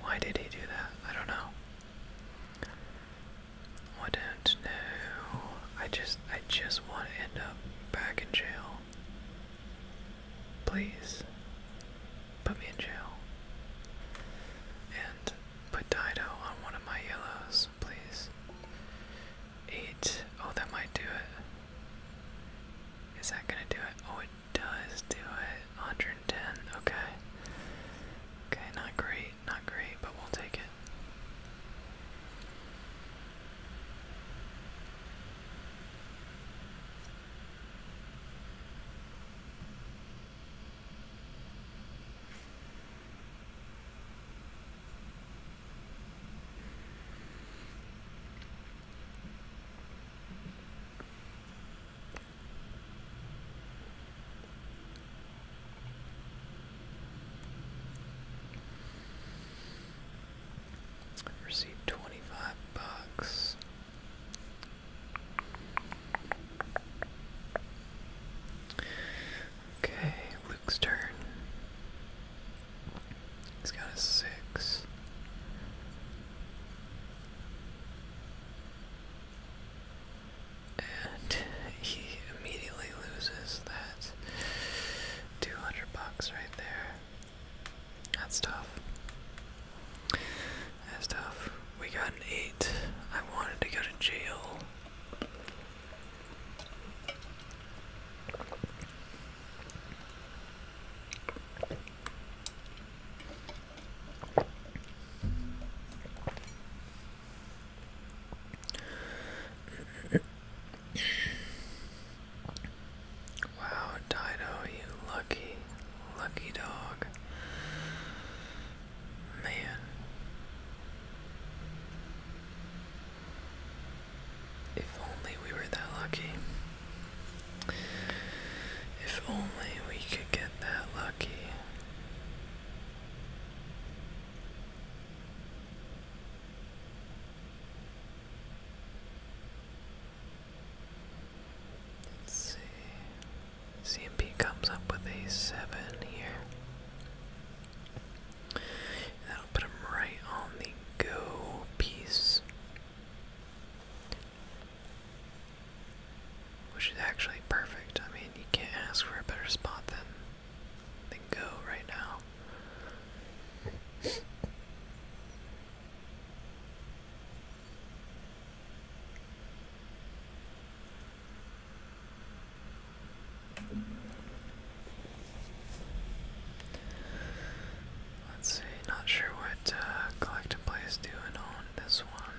Why did he do that? I don't know. I don't know. I just I just want to end up back in jail. Please put me in jail. And put Dido on one of my yellows, please. Eight. Oh, that might do it. Is that gonna do it? Oh, does do it. 110. Okay. Okay, not great, not great, but we'll take it. Received twenty five bucks. Okay, Luke's turn. He's got a six. And he immediately loses that 200 bucks right there. That's tough. That's tough. We got an 8. I wanted to go to jail. Wow, Dido, you lucky, lucky dog. Man. If only we were that lucky. If only we could get that lucky. Let's see. CMP comes up with a seven here. that'll put him right on the go piece. Which is actually perfect. I mean, you can't ask for a better spot than than go right now. Let's see, not sure what uh, Collect doing on this one.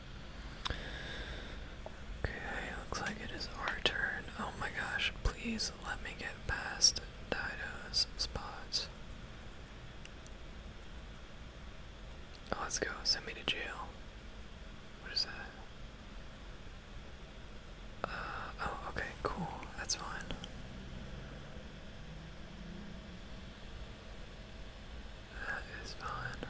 Okay, looks like it is our turn. Oh my gosh, please let me get past Dido's spots. Oh, let's go. Send me to jail. What is that? Uh, oh, okay, cool. That's fine. That is fine.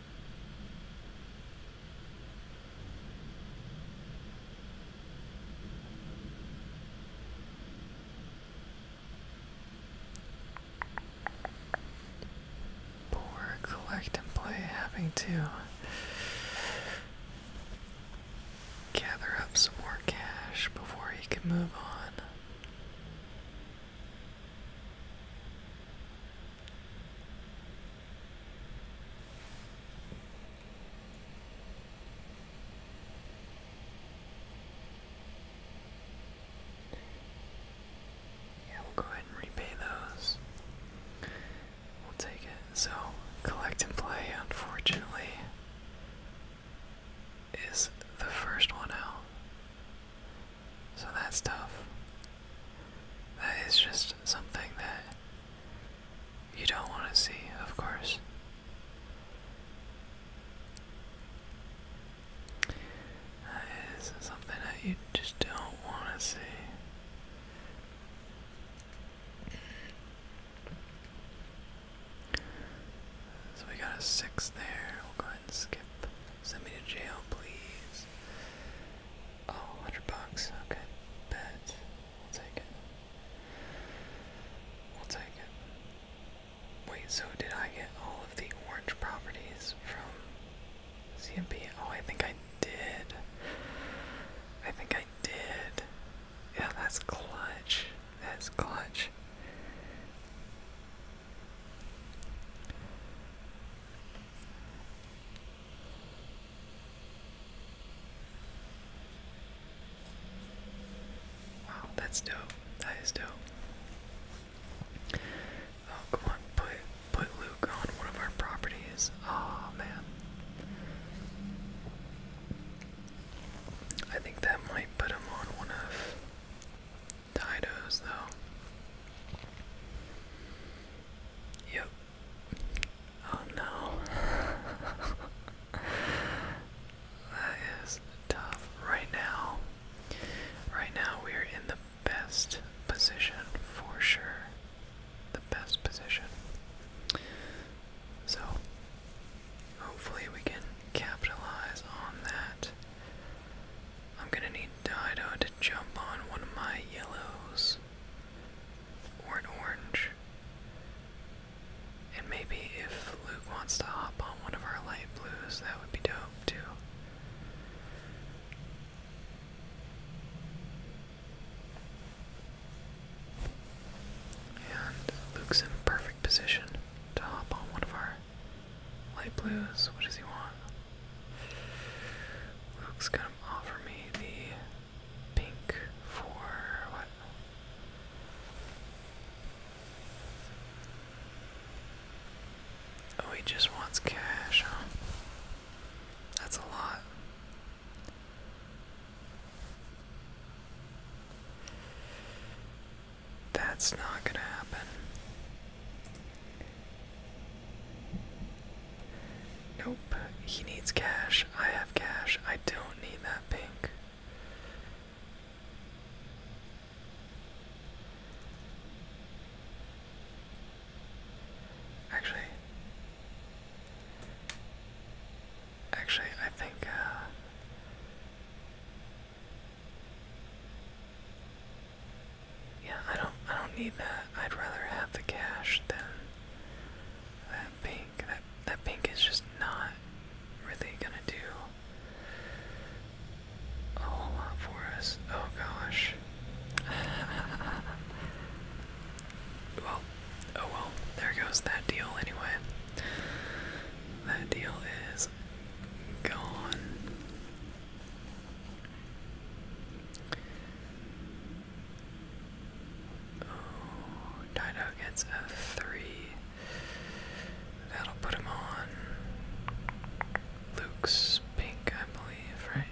Poor collect and play having to gather up some more cash before he can move on. Yeah, we'll go ahead and repay those. We'll take it. So, collect and play, unfortunately, is the first one out. So that's tough. That is just something that you don't want to see, of course. That is something that you just don't want to see. So we got a six there. We'll go ahead and skip. Send me to jail, please this. Oh, bucks. Okay. Bet. We'll take it. We'll take it. Wait, so did I get all of the orange properties from CMP? Oh, I think I did. I think I did. Yeah, that's clutch. That's clutch. Wow, that's dope. That is dope. Oh, come on, put put Luke on one of our properties. Oh man. I think that might put him on one of Dido's though. Yep. Oh no. that is tough. Right now, right now we're in the best position for sure. The best position. So, hopefully, we can capitalize on that. I'm gonna need Dido to jump on one of my yellows or an orange. And maybe if Luke wants to hop on one of our light blues, that would be dope too. And Luke's in perfect position to hop on one of our light blues. What does he want? Luke's gonna offer me the pink for what? Oh, he just wants cash, That's a lot. That's not gonna happen. Nope. He needs cash. I have cash. I don't need that pink. Actually, actually, I think, uh, yeah, I don't, I don't need that. I'd rather have the cash than that pink, that that pink is just not really gonna do a for us. Oh gosh. well, oh well, there goes that deal anyway. That deal is gone. Oh, Dino gets a three. That'll put him on Luke's pink, I believe, right?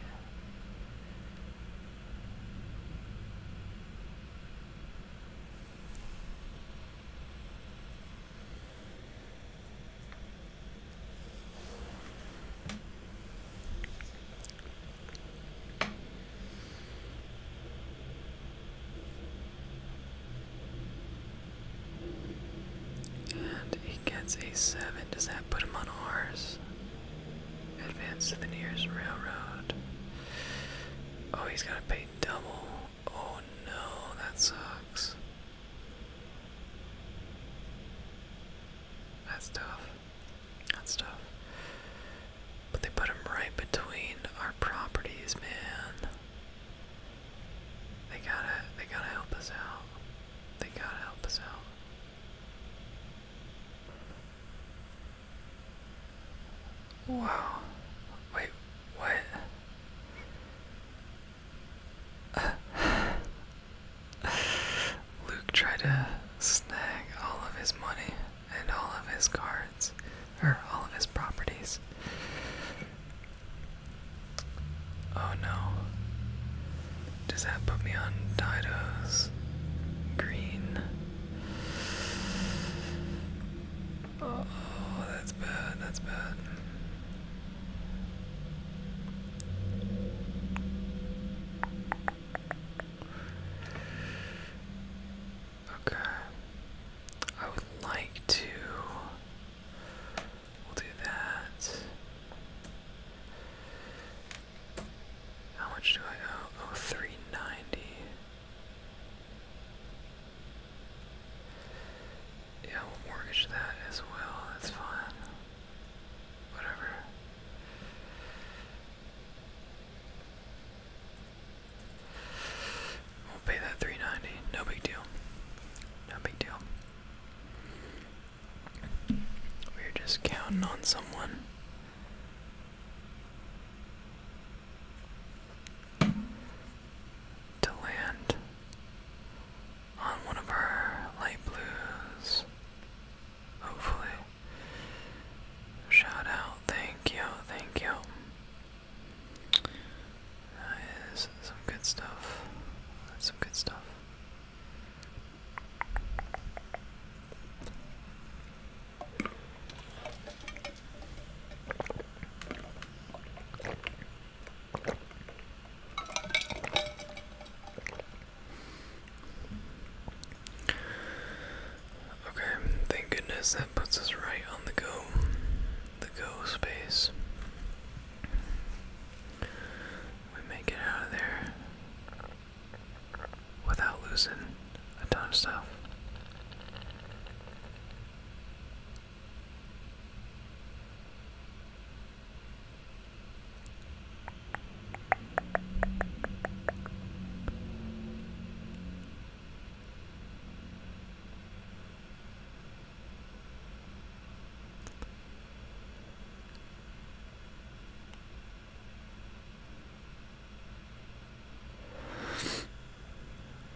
And he gets a 7. Does that put him on ours? Advance to the nearest railroad. Oh, he's got to pay double. Oh no, that sucks. That's tough and stuff. But they put them right between our properties, man. They gotta, they gotta help us out. They gotta help us out. Wow. Wait, what? Luke tried to snag all of his money and all of his cards, or all of his properties. Oh no. Does that put me on Dido's green? Oh, that's bad, that's bad. Okay. I would like to. do that. How much do I owe? Oh, 390. Yeah, we'll mortgage that as well. That's fine. Whatever. We'll pay that 390. No big deal. No big deal. We're just counting on someone. To land on one of our light blues Hopefully. Shout out. Thank you. Thank you. That is some good stuff. That's some good stuff. Okay, thank goodness that puts us right on the go, the go space. We may get out of there without losing a ton of stuff.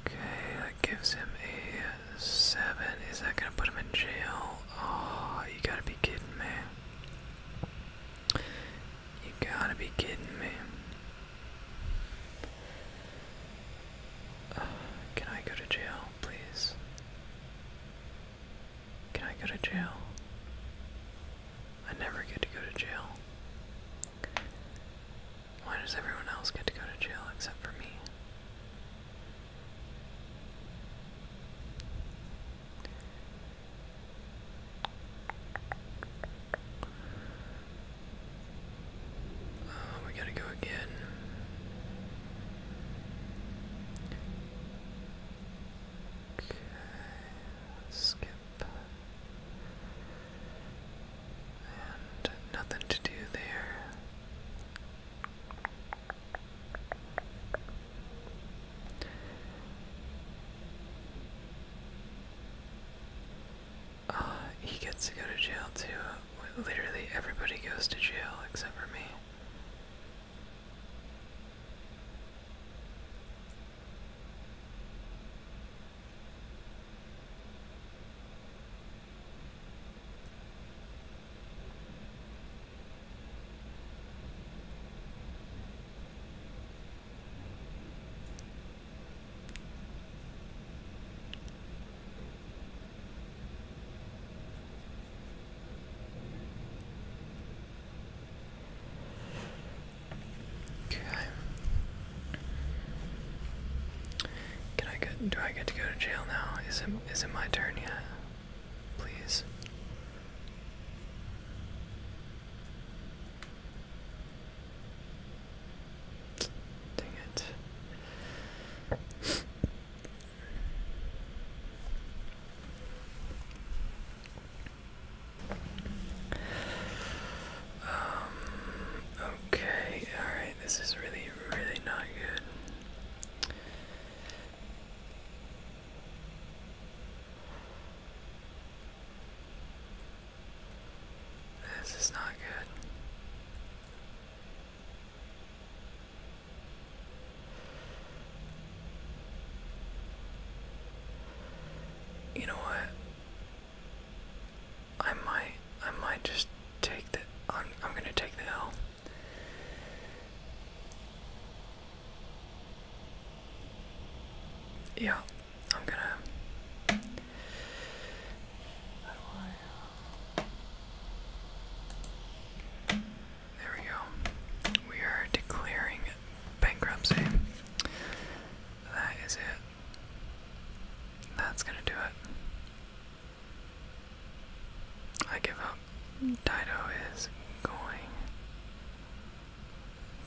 Okay, that gives him a seven. Is that gonna put him in jail? Oh, you gotta be kidding me. You gotta be kidding me. Uh, can I go to jail, please? Can I go to jail? I never get to go to jail. Why does everyone else get to go to jail except for me? Oh, we gotta go again. Okay, skip. And nothing to do there. Uh, he gets to go to jail too. Literally everybody goes to jail except for me. Okay. Can I get do I get to go to jail now? Is it is it my turn yet? Please. Dang it. Um, okay, alright, this is really, really not good. This is not good. You know what? I might I might just take the I'm I'm gonna take the L. Yeah, I'm gonna. There we go. We are declaring bankruptcy. That is it. That's gonna do it. I give up. Dido is going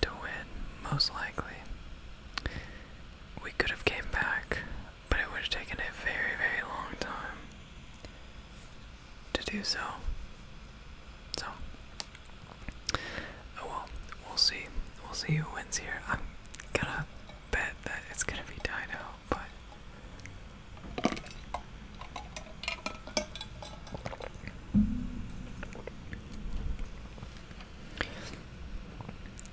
to win, most likely. We could have came back, but it would have taken a very, very long time to do so. So, oh well, we'll see. We'll see who wins here. I'm gonna bet that it's gonna be Dino, but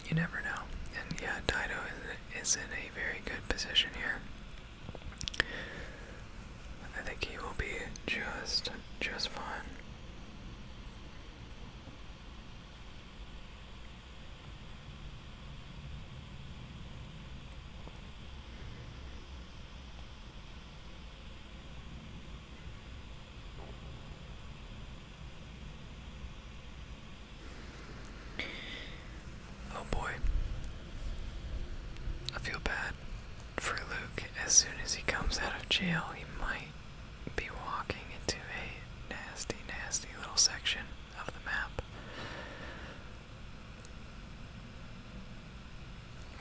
you never know. And yeah, Dido is, is in a very good position here. I think he will be just, just fine. Oh boy. I feel bad for Luke. As soon as he comes out of jail, he might be walking into a nasty, nasty little section of the map.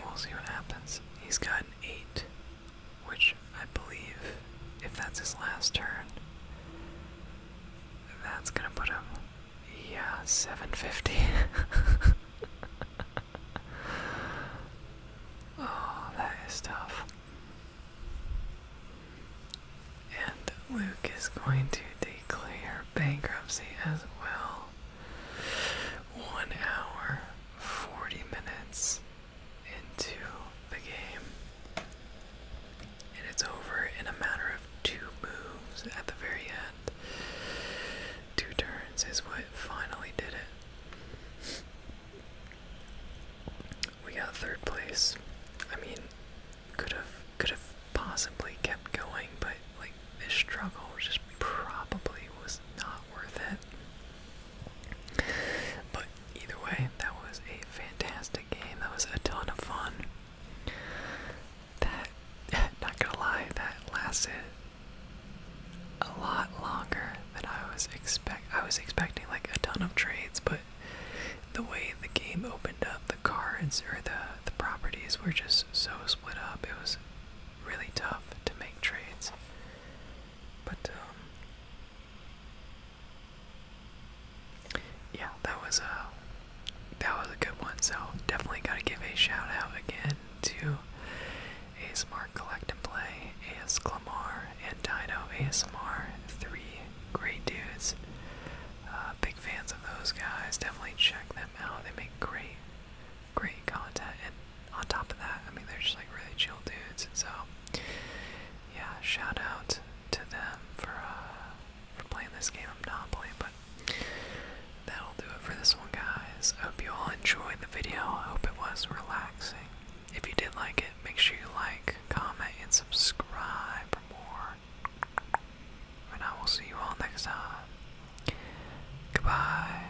We'll see what happens. He's got an 8 which I believe, if that's his last turn, that's gonna put him. Yeah, 750. oh, that is tough. And Luke is going to declare bankruptcy as well. One hour, 40 minutes, into the game. And it's over in a matter of two moves at the very end. Two turns is what finally did it. We got third place. I mean, could have could have possibly kept going, but like this struggle just probably was not worth it. But either way, that was a fantastic game. That was a ton of fun. That, not gonna lie, that lasted a lot longer than I was expect. I was expecting like a ton of trades, but the way the game opened up, the cards or the the properties were just so split up. It was really tough to make trades. But um, yeah, that was a uh, that was a good one. So definitely gotta give a shout out again to ASMR Collect and Play, AS Clamar, and Dino ASMR. Three great dudes. Uh, big fans of those guys. Definitely check them out. They make great great content, and on top of that, I mean, they're just like really chill dudes. So, yeah, shout out to them for uh, for playing this game of Monopoly. But that'll do it for this one, guys. hope you all enjoyed the video. I hope it was relaxing. If you did like it, make sure you like, comment, and subscribe for more. And I will see you all next time. Goodbye.